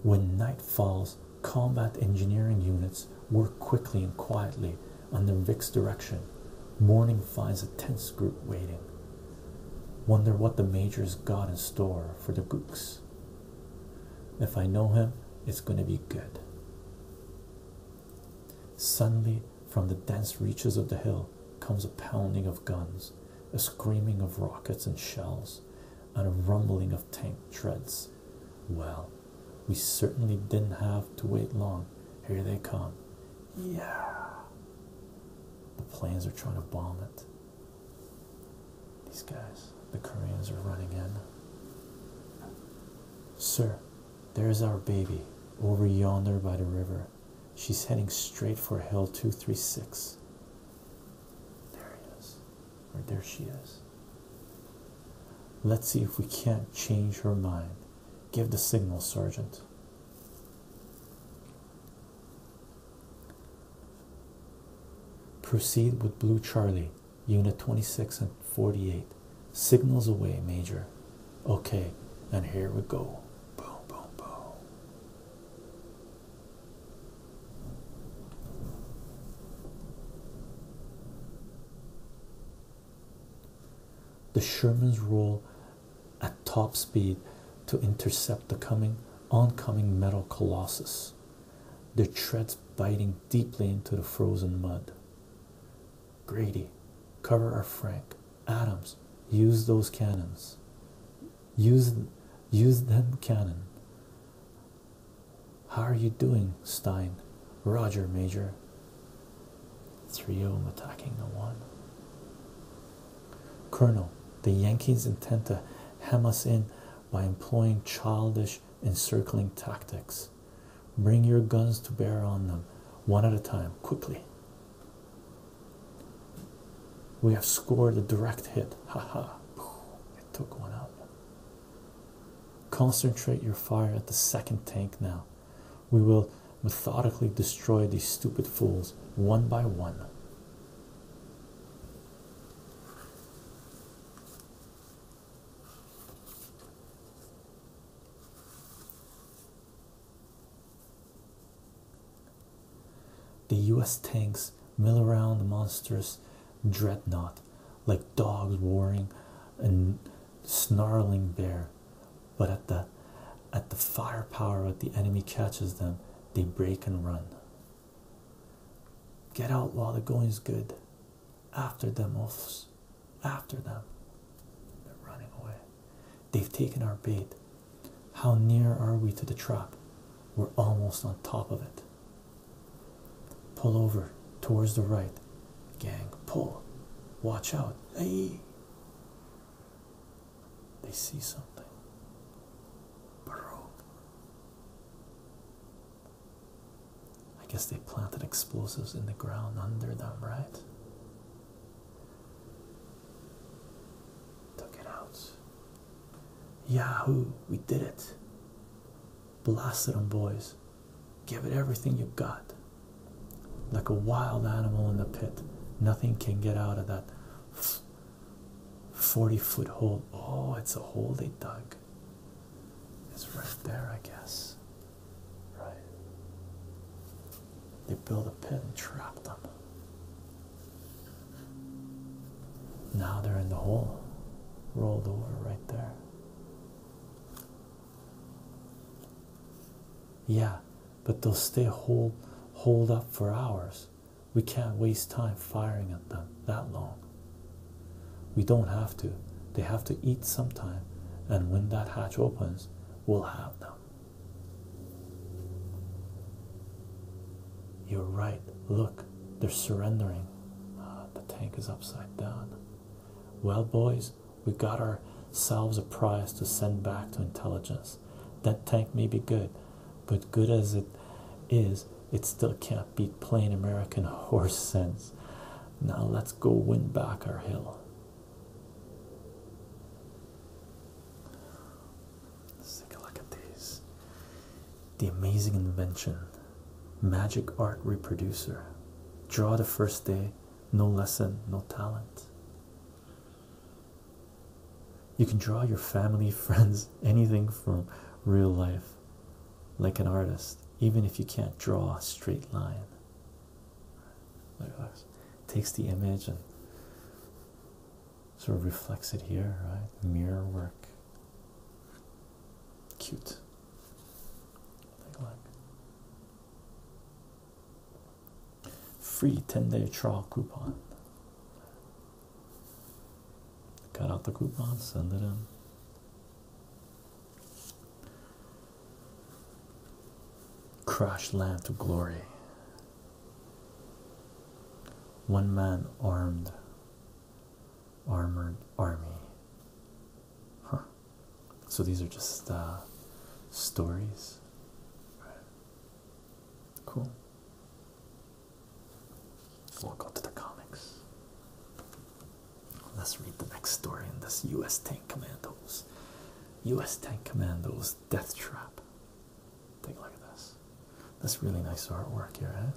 A: When night falls, combat engineering units work quickly and quietly under Vic's direction. Morning finds a tense group waiting. Wonder what the Major's got in store for the gooks. If I know him, it's going to be good. Suddenly, from the dense reaches of the hill comes a pounding of guns, a screaming of rockets and shells, and a rumbling of tank treads. Well, we certainly didn't have to wait long. Here they come. Yeah. The planes are trying to bomb it. These guys, the Koreans are running in. Sir, there's our baby over yonder by the river. She's heading straight for Hill 236. There it is. Or there she is. Let's see if we can't change her mind. Give the signal, Sergeant. Proceed with Blue Charlie, Unit 26 and 48. Signals away, Major. Okay, and here we go. Boom, boom, boom. The Shermans roll at top speed to intercept the coming oncoming metal colossus, their treads biting deeply into the frozen mud. Grady, cover our Frank. Adams, use those cannons. Use, use that cannon. How are you doing, Stein? Roger, Major. 3 0 attacking the one. Colonel, the Yankees intend to hem us in by employing childish encircling tactics. Bring your guns to bear on them, one at a time, quickly. We have scored a direct hit. ha! it took one out. Concentrate your fire at the second tank now. We will methodically destroy these stupid fools one by one. The US tanks mill around the monstrous dreadnought like dogs roaring a snarling bear, but at the at the firepower that the enemy catches them, they break and run. Get out while the going's good. After them, oafs. After them. They're running away. They've taken our bait. How near are we to the trap? We're almost on top of it. Pull over towards the right. Gang, pull. Watch out. Hey! They see something. Baroque. I guess they planted explosives in the ground under them, right? Took it out. Yahoo, we did it. Blasted them, boys. Give it everything you got. Like a wild animal in the pit, nothing can get out of that 40 foot hole. Oh, it's a hole they dug. It's right there, I guess. Right. They built a pit and trapped them. Now they're in the hole, rolled over right there. Yeah, but they'll stay hold hold up for hours. We can't waste time firing at them that long. We don't have to. They have to eat sometime, and when that hatch opens, we'll have them. You're right. Look, they're surrendering. Uh, the tank is upside down. Well, boys, we have got ourselves a prize to send back to intelligence. That tank may be good, but good as it is, it still can't beat plain American horse sense. Now let's go win back our hill. Let's take a look at these. The Amazing Invention, Magic Art Reproducer, Draw the First Day, No Lesson, No Talent. You can draw your family, friends, anything from real life, like an artist, even if you can't draw a straight line. Takes the image and sort of reflects it here, right? Mirror work. Cute. Take a look. Free 10 day trial coupon. Cut out the coupon, send it in. Crash land to glory. One man armed armored army. So these are just uh, stories. Cool. We'll go to the comics. Let's read the next story in this U.S. Tank Commandos. U.S. Tank Commandos Death Trap Take a look at this. That's really nice artwork here, eh?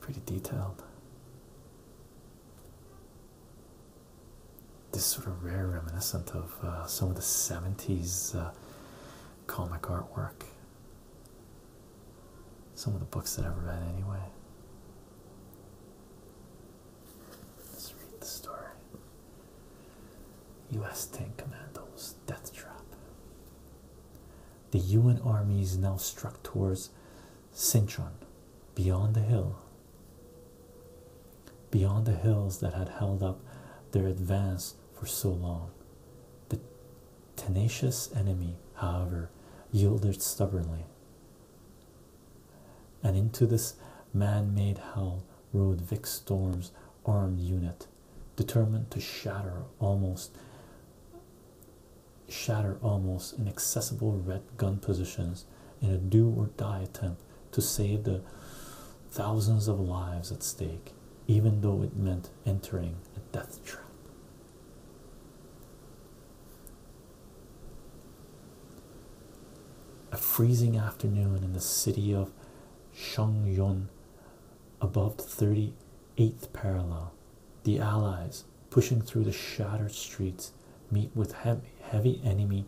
A: Pretty detailed. This sort of rare reminiscent of uh, some of the 70s uh, comic artwork. Some of the books that I've read, anyway. Let's read the story. US Tank Commandos Death Trap. The UN armies now struck towards Sinchon, beyond the hill, beyond the hills that had held up their advance for so long. The tenacious enemy, however, yielded stubbornly. And into this man made hell rode Vic Storm's armed unit, determined to shatter almost shatter almost inaccessible red gun positions in a do or die attempt to save the thousands of lives at stake, even though it meant entering a death trap. A freezing afternoon in the city of Shongyun above the 38th parallel. The Allies, pushing through the shattered streets, meet with heavy, enemy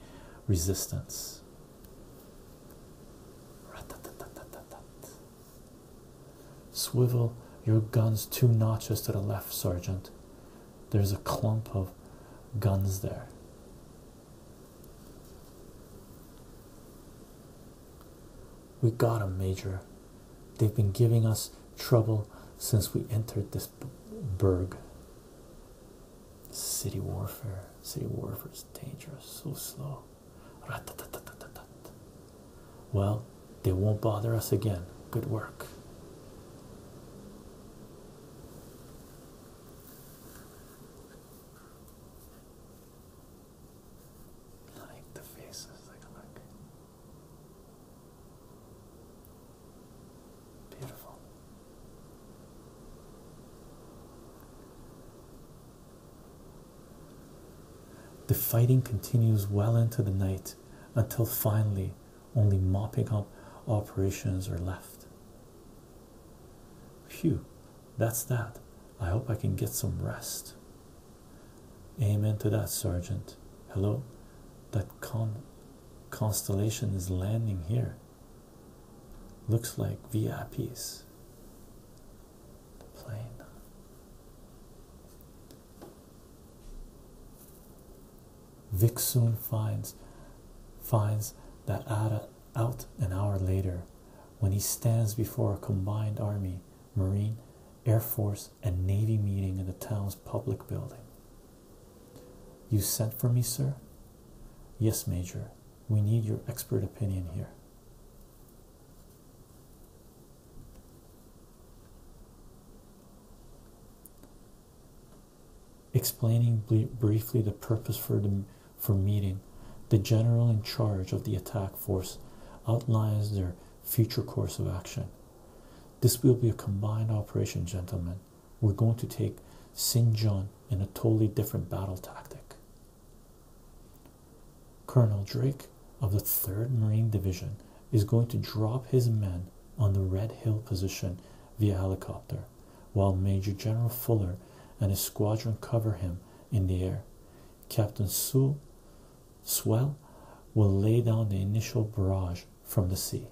A: resistance. Swivel your guns two notches to the left, Sergeant. There's a clump of guns there. We got them, Major. They've been giving us trouble since we entered this burg. City warfare. City warfare is dangerous, so slow. Well, they won't bother us again. Good work like the faces, like look. Beautiful. The fighting continues well into the night until finally only mopping up operations are left. Phew, that's that. I hope I can get some rest. Amen to that, Sergeant. Hello, that con constellation is landing here. Looks like VIPs. The plane. Vic soon finds finds that Ada out an hour later when he stands before a combined Army, Marine, Air Force, and Navy meeting in the town's public building. You sent for me, sir? Yes, Major. We need your expert opinion here. Explaining briefly the purpose for the for meeting, the general in charge of the attack force outlines their future course of action. This will be a combined operation, gentlemen. We're going to take Sinjon in a totally different battle tactic. Colonel Drake of the 3rd Marine Division is going to drop his men on the Red Hill position via helicopter, while Major General Fuller and his squadron cover him in the air. Captain Sewell Swell will lay down the initial barrage from the sea.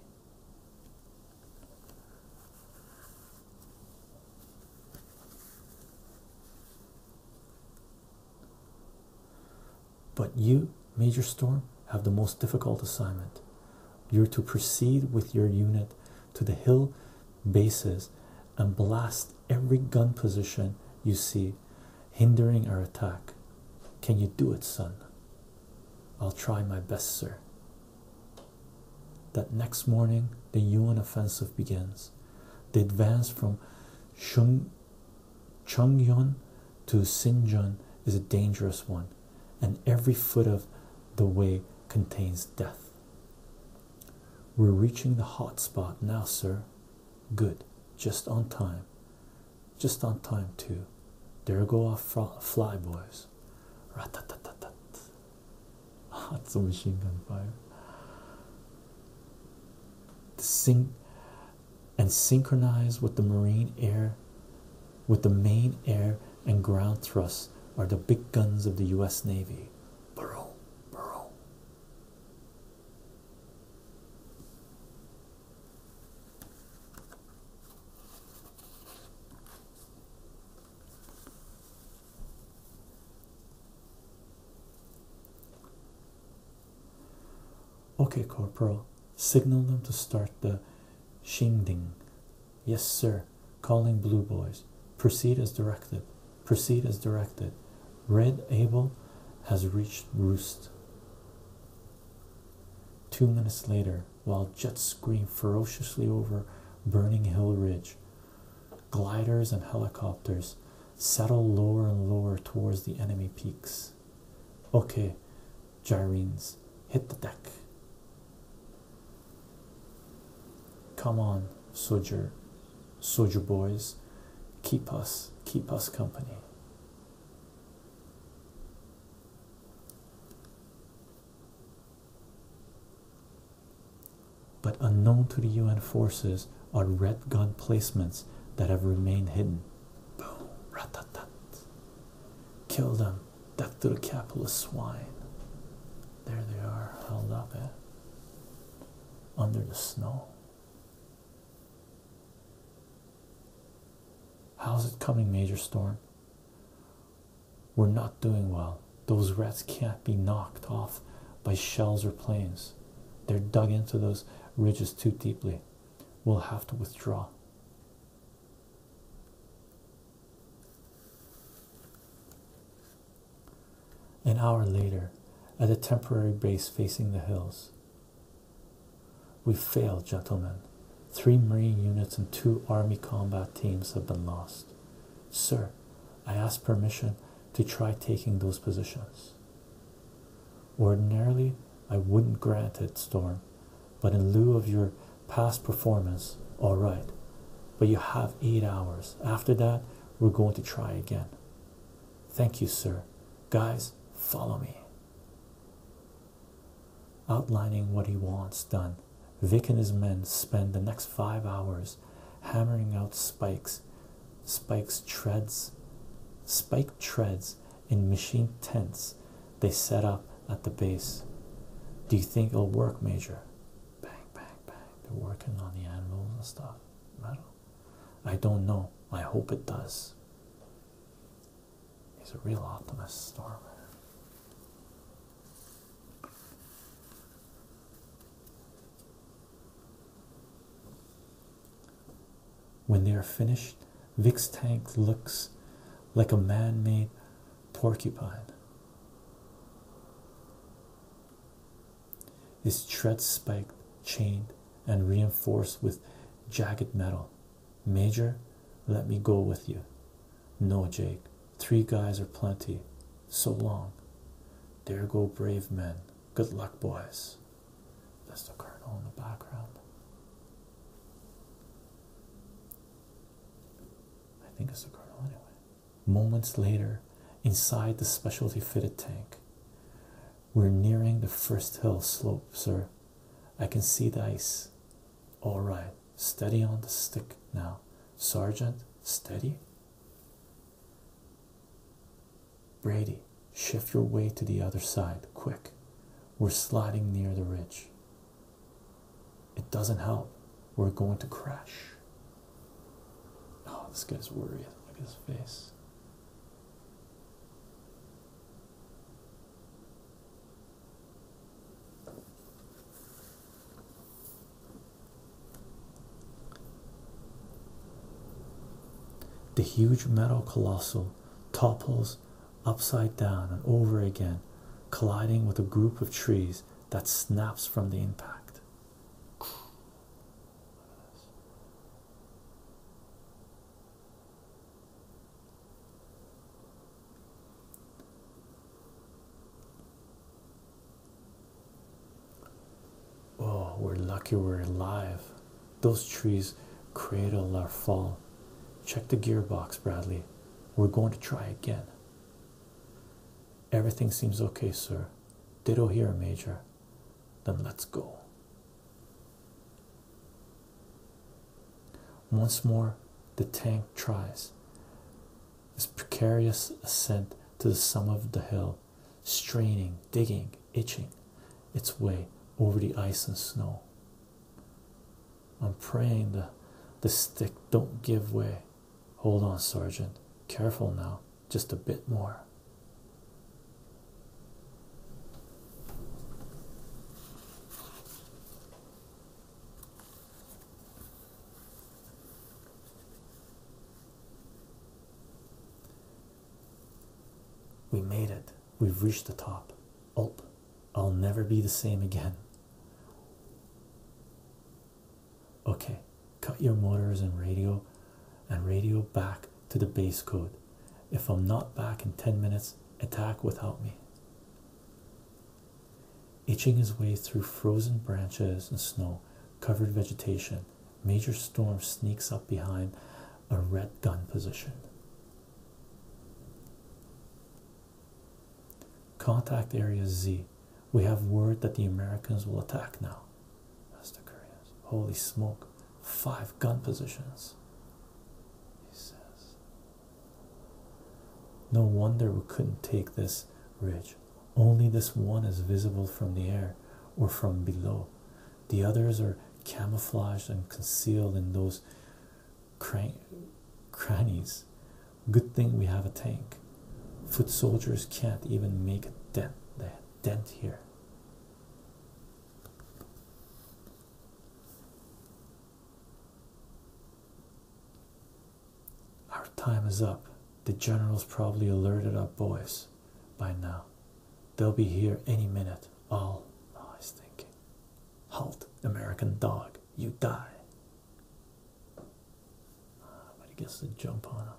A: But you, Major Storm, have the most difficult assignment. You're to proceed with your unit to the hill bases and blast every gun position you see, hindering our attack. Can you do it, son? I'll try my best, sir. That next morning, the Yuan offensive begins. The advance from Shung Chongyun to Sinjun is a dangerous one, and every foot of the way contains death. We're reaching the hot spot now, sir. Good, just on time. Just on time, too. There go our fly boys. Ratatatatat. That's a machine gun fire. sync and synchronize with the marine air, with the main air and ground thrusts are the big guns of the U.S. Navy. Burrow, Burrow. Okay, Corporal, signal them to start the shinding. Yes, sir. Calling blue boys. Proceed as directed. Proceed as directed. Red Abel has reached roost. Two minutes later, while jets scream ferociously over burning hill ridge, gliders and helicopters settle lower and lower towards the enemy peaks. Okay, gyrenes, hit the deck. Come on, Sojourn, soldier boys keep us keep us company but unknown to the un forces are red gun placements that have remained hidden boom ratatat kill them death to the capitalist swine there they are held up eh? under the snow. How's it coming, Major Storm? We're not doing well. Those rats can't be knocked off by shells or planes. They're dug into those ridges too deeply. We'll have to withdraw. An hour later, at a temporary base facing the hills. We failed, gentlemen. Three Marine units and two Army combat teams have been lost. Sir, I ask permission to try taking those positions. Ordinarily, I wouldn't grant it, Storm, but in lieu of your past performance, all right. But you have eight hours. After that, we're going to try again. Thank you, sir. Guys, follow me. Outlining what he wants done, Vic and his men spend the next five hours hammering out spikes, spikes treads, spike treads in machine tents they set up at the base. Do you think it'll work, Major? Bang, bang, bang. They're working on the animals and stuff. Metal. I don't know. I hope it does. He's a real optimist, Storm. When they are finished, Vix tank looks like a man made porcupine. His tread spiked, chained, and reinforced with jagged metal. Major, let me go with you. No, Jake, three guys are plenty. So long. There go brave men. Good luck, boys. That's the colonel in the background. I think it's the colonel anyway. Moments later, inside the specialty fitted tank, we're nearing the first hill slope, sir. I can see the ice. All right, steady on the stick now, Sergeant. Steady. Brady, shift your weight to the other side, quick. We're sliding near the ridge. It doesn't help. We're going to crash. Oh, this guy's worried. Look at his face. The huge metal colossal topples upside down and over again, colliding with a group of trees that snaps from the impact. Oh, we're lucky we're alive. Those trees cradle our fall. Check the gearbox, Bradley. We're going to try again. Everything seems okay, sir. Ditto here, Major. Then let's go. Once more, the tank tries its precarious ascent to the summit of the hill, straining, digging, itching its way over the ice and snow. I'm praying the the stick don't give way. Hold on, Sergeant. Careful now. Just a bit more. We made it. We've reached the top. Ulp. I'll never be the same again. Okay, cut your motors and radio and radio back to the base code. If I'm not back in 10 minutes, attack without me. Itching his way through frozen branches and snow, covered vegetation, Major Storm sneaks up behind a red gun position. Contact Area Z we have word that the Americans will attack now. That's the Koreans. Holy smoke. Five gun positions. He says. No wonder we couldn't take this ridge. Only this one is visible from the air or from below. The others are camouflaged and concealed in those cran crannies. Good thing we have a tank. Foot soldiers can't even make a dent, a dent here. Our time is up. The general's probably alerted our boys by now. They'll be here any minute. All I was thinking. Halt, American dog, you die. Ah, but he gets to jump on him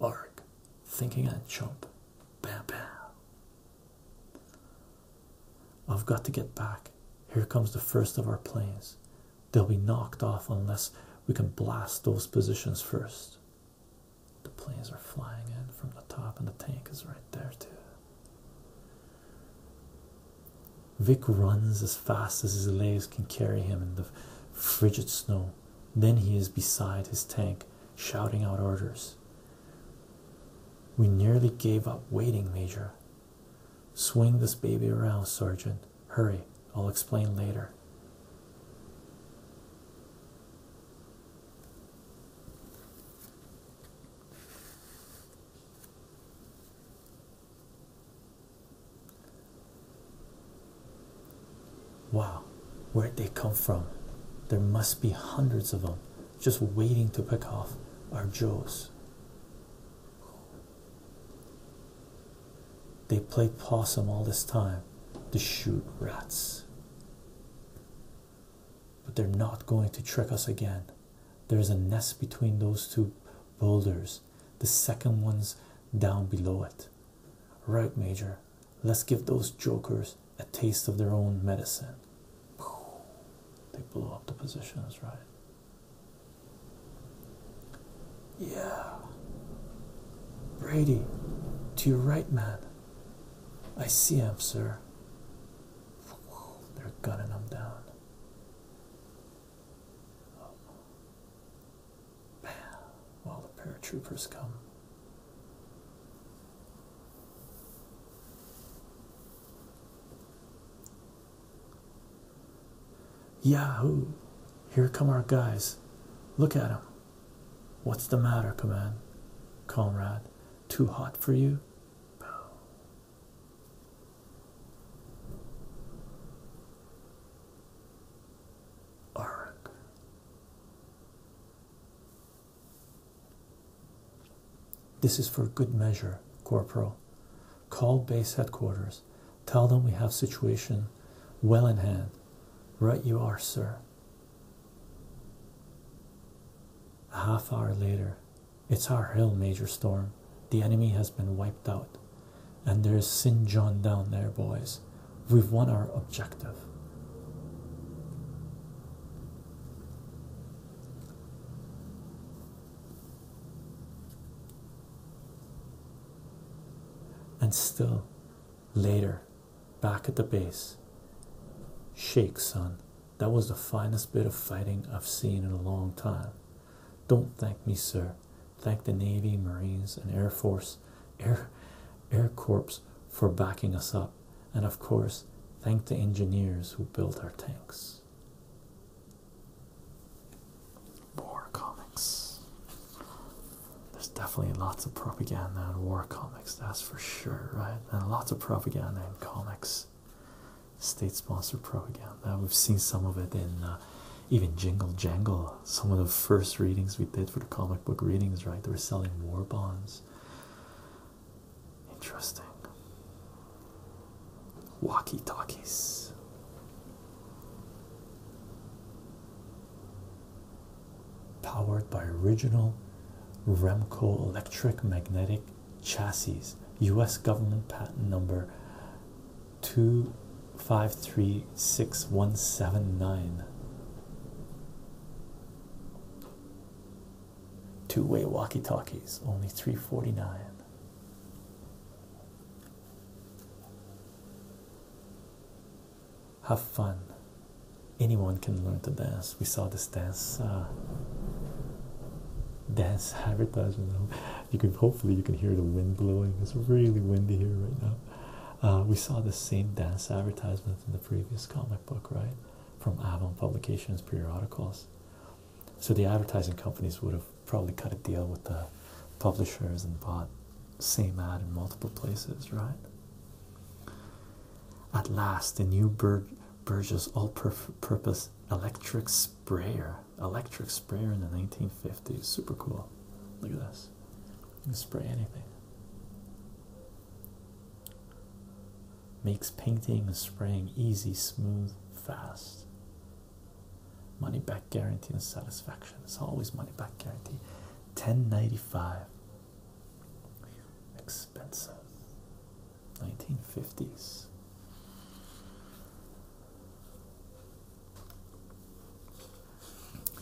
A: arc, thinking and jump. Bam, bam. I've got to get back. Here comes the first of our planes. They'll be knocked off unless we can blast those positions first. The planes are flying in from the top, and the tank is right there, too. Vic runs as fast as his legs can carry him in the frigid snow. Then he is beside his tank, shouting out orders. We nearly gave up waiting, Major. Swing this baby around, Sergeant. Hurry, I'll explain later. Wow, where'd they come from? There must be hundreds of them just waiting to pick off our Joes. They played possum all this time to shoot rats. But they're not going to trick us again. There's a nest between those two boulders the second one's down below it. Right, Major, let's give those jokers a taste of their own medicine. They blow up the positions, right? Yeah. Brady, to your right, man. I see him, sir. They're gunning him down. Bam! the paratroopers come. Yahoo! Here come our guys. Look at them. What's the matter, command? Comrade, too hot for you? Oregon. This is for good measure, Corporal. Call base headquarters. Tell them we have situation well in hand. Right you are, sir. A half hour later, it's our hill, Major Storm. The enemy has been wiped out and there's Sin John down there, boys. We've won our objective. And still, later, back at the base, shake, son. That was the finest bit of fighting I've seen in a long time. Don't thank me, sir thank the Navy, Marines, and Air Force, Air, Air Corps for backing us up, and of course, thank the engineers who built our tanks. War comics. There's definitely lots of propaganda in war comics, that's for sure, right? And lots of propaganda in comics. State sponsored propaganda. We've seen some of it in uh, even Jingle Jangle some of the first readings we did for the comic book readings, right? They were selling war bonds. Interesting. Walkie talkies. Powered by original Remco electric magnetic chassis, US government patent number five, three, three six one seven nine two-way walkie-talkies only 349 have fun anyone can learn to dance we saw this dance uh, dance advertisement you can hopefully you can hear the wind blowing it's really windy here right now uh, we saw the same dance advertisement in the previous comic book, right? From Avon Publications periodicals. So the advertising companies would have probably cut a deal with the publishers and bought same ad in multiple places, right? At last, the new Bur Burgess all-purpose electric sprayer, electric sprayer in the 1950s. Super cool. Look at this spray anything. Makes painting and spraying easy, smooth, fast. Money back guarantee and satisfaction. It's always money back guarantee. Ten ninety five. Expensive. Nineteen fifties.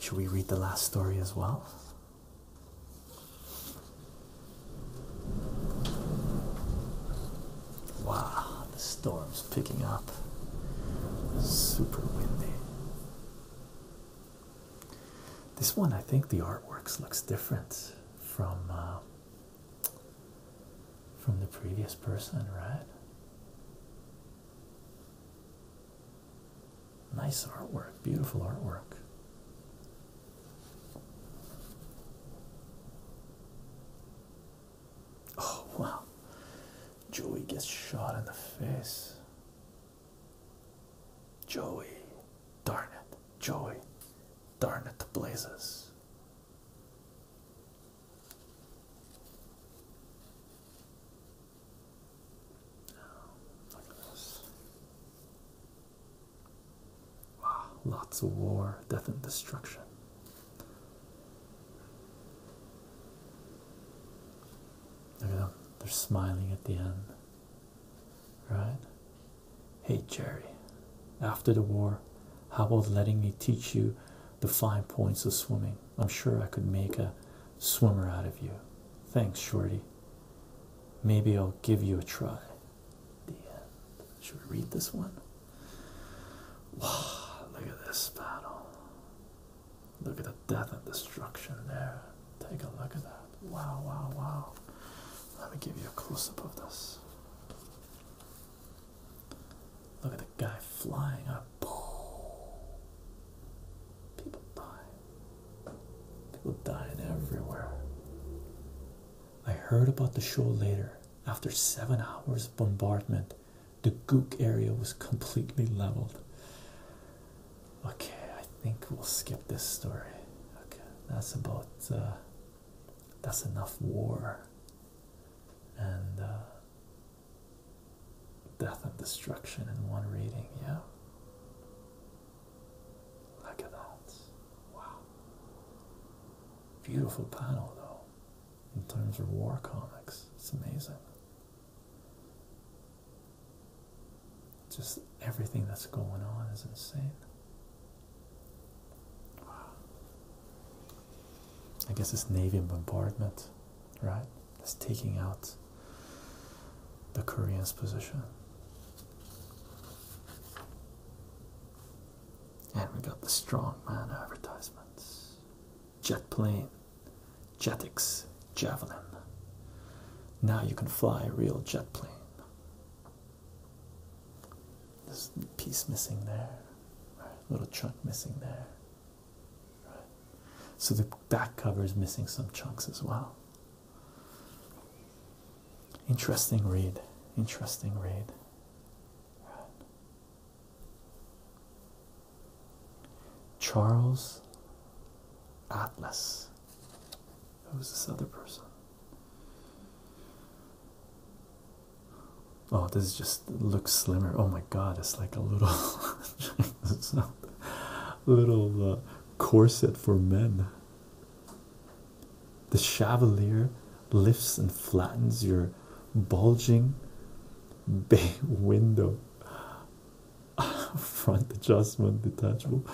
A: Should we read the last story as well? Wow, the storm's picking up. Super windy. This one, I think the artwork looks different from uh, from the previous person, right? Nice artwork, beautiful artwork. Oh, wow. Joey gets shot in the face. Joey, darn it, Joey, darn it, the blazes. Wow, lots of war, death, and destruction. Look at them, they're smiling at the end. Right? Hey, Jerry, after the war, how about letting me teach you the fine points of swimming? I'm sure I could make a swimmer out of you. Thanks, Shorty. Maybe I'll give you a try. Should we read this one? Wow, look at this battle. Look at the death and destruction there. Take a look at that. Wow, wow, wow. Let me give you a close up of this. Look at the guy flying up. People die. People dying everywhere. I heard about the show later. After seven hours of bombardment, the Gook area was completely leveled. Okay, I think we'll skip this story. Okay, that's about uh, that's enough war and uh, Death and destruction in one reading, yeah. Look at that. Wow. Beautiful panel though, in terms of war comics. It's amazing. Just everything that's going on is insane. Wow. I guess this Navy bombardment right? It's taking out the Korean's position. And we got the strongman advertisements. Jet plane, Jetix, Javelin. Now you can fly a real jet plane. There's a piece missing there, a little truck missing there. So the back cover is missing some chunks as well. Interesting read. Interesting read. Charles Atlas. Who's this other person? Oh, this is just looks slimmer. Oh my god, it's like a little little uh, corset for men. The chevalier lifts and flattens your bulging bay window. Front adjustment detachable.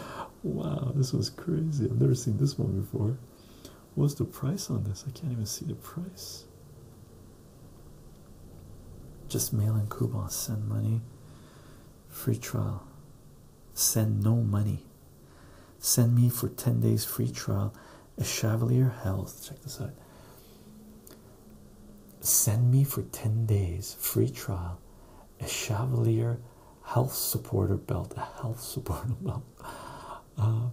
A: Wow, this was crazy. I've never seen this one before. What's the price on this? I can't even see the price. Just mail in coupons, send money, free trial. Send no money. Send me for 10 days free trial a Chevalier Health. Check this out. Send me for 10 days free trial a Chevalier health supporter belt. A health supporter belt. Uh,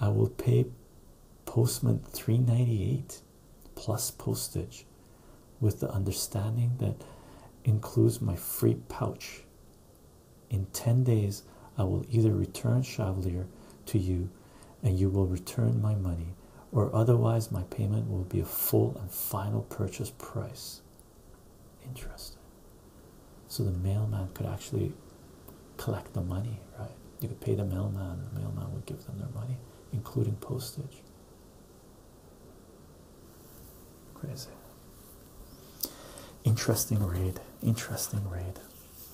A: I will pay postman 398 plus postage with the understanding that includes my free pouch. In 10 days, I will either return Chavalier to you and you will return my money, or otherwise, my payment will be a full and final purchase price. Interesting. So the mailman could actually collect the money, right? You could pay the mailman, and the mailman would give them their money including postage. Crazy. Interesting read. Interesting read.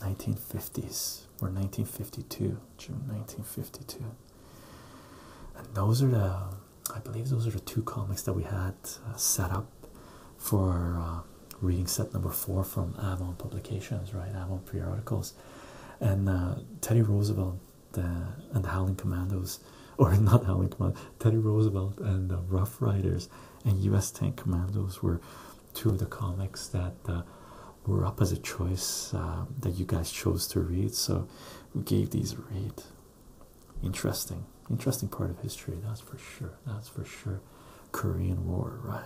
A: 1950s or 1952, June 1952. And those are the, I believe, those are the two comics that we had uh, set up for uh, reading set number four from Avon Publications, right? Avon periodicals and uh, Teddy Roosevelt uh, and Howling Commandos, or not Howling Commandos, Teddy Roosevelt and the Rough Riders and U.S. Tank Commandos were two of the comics that uh, were up as a choice that you guys chose to read. So we gave these a read. Interesting, interesting part of history. That's for sure. That's for sure. Korean War, right?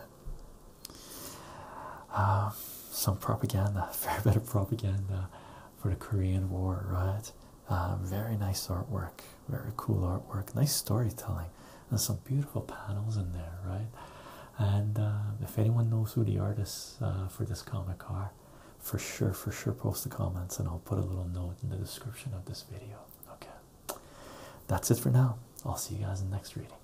A: Um, some propaganda, very bit of propaganda for the Korean War, right? Um, very nice artwork, very cool artwork, nice storytelling, and some beautiful panels in there, right? And uh, if anyone knows who the artists uh, for this comic are, for sure, for sure, post the comments and I'll put a little note in the description of this video. Okay, that's it for now. I'll see you guys in the next reading.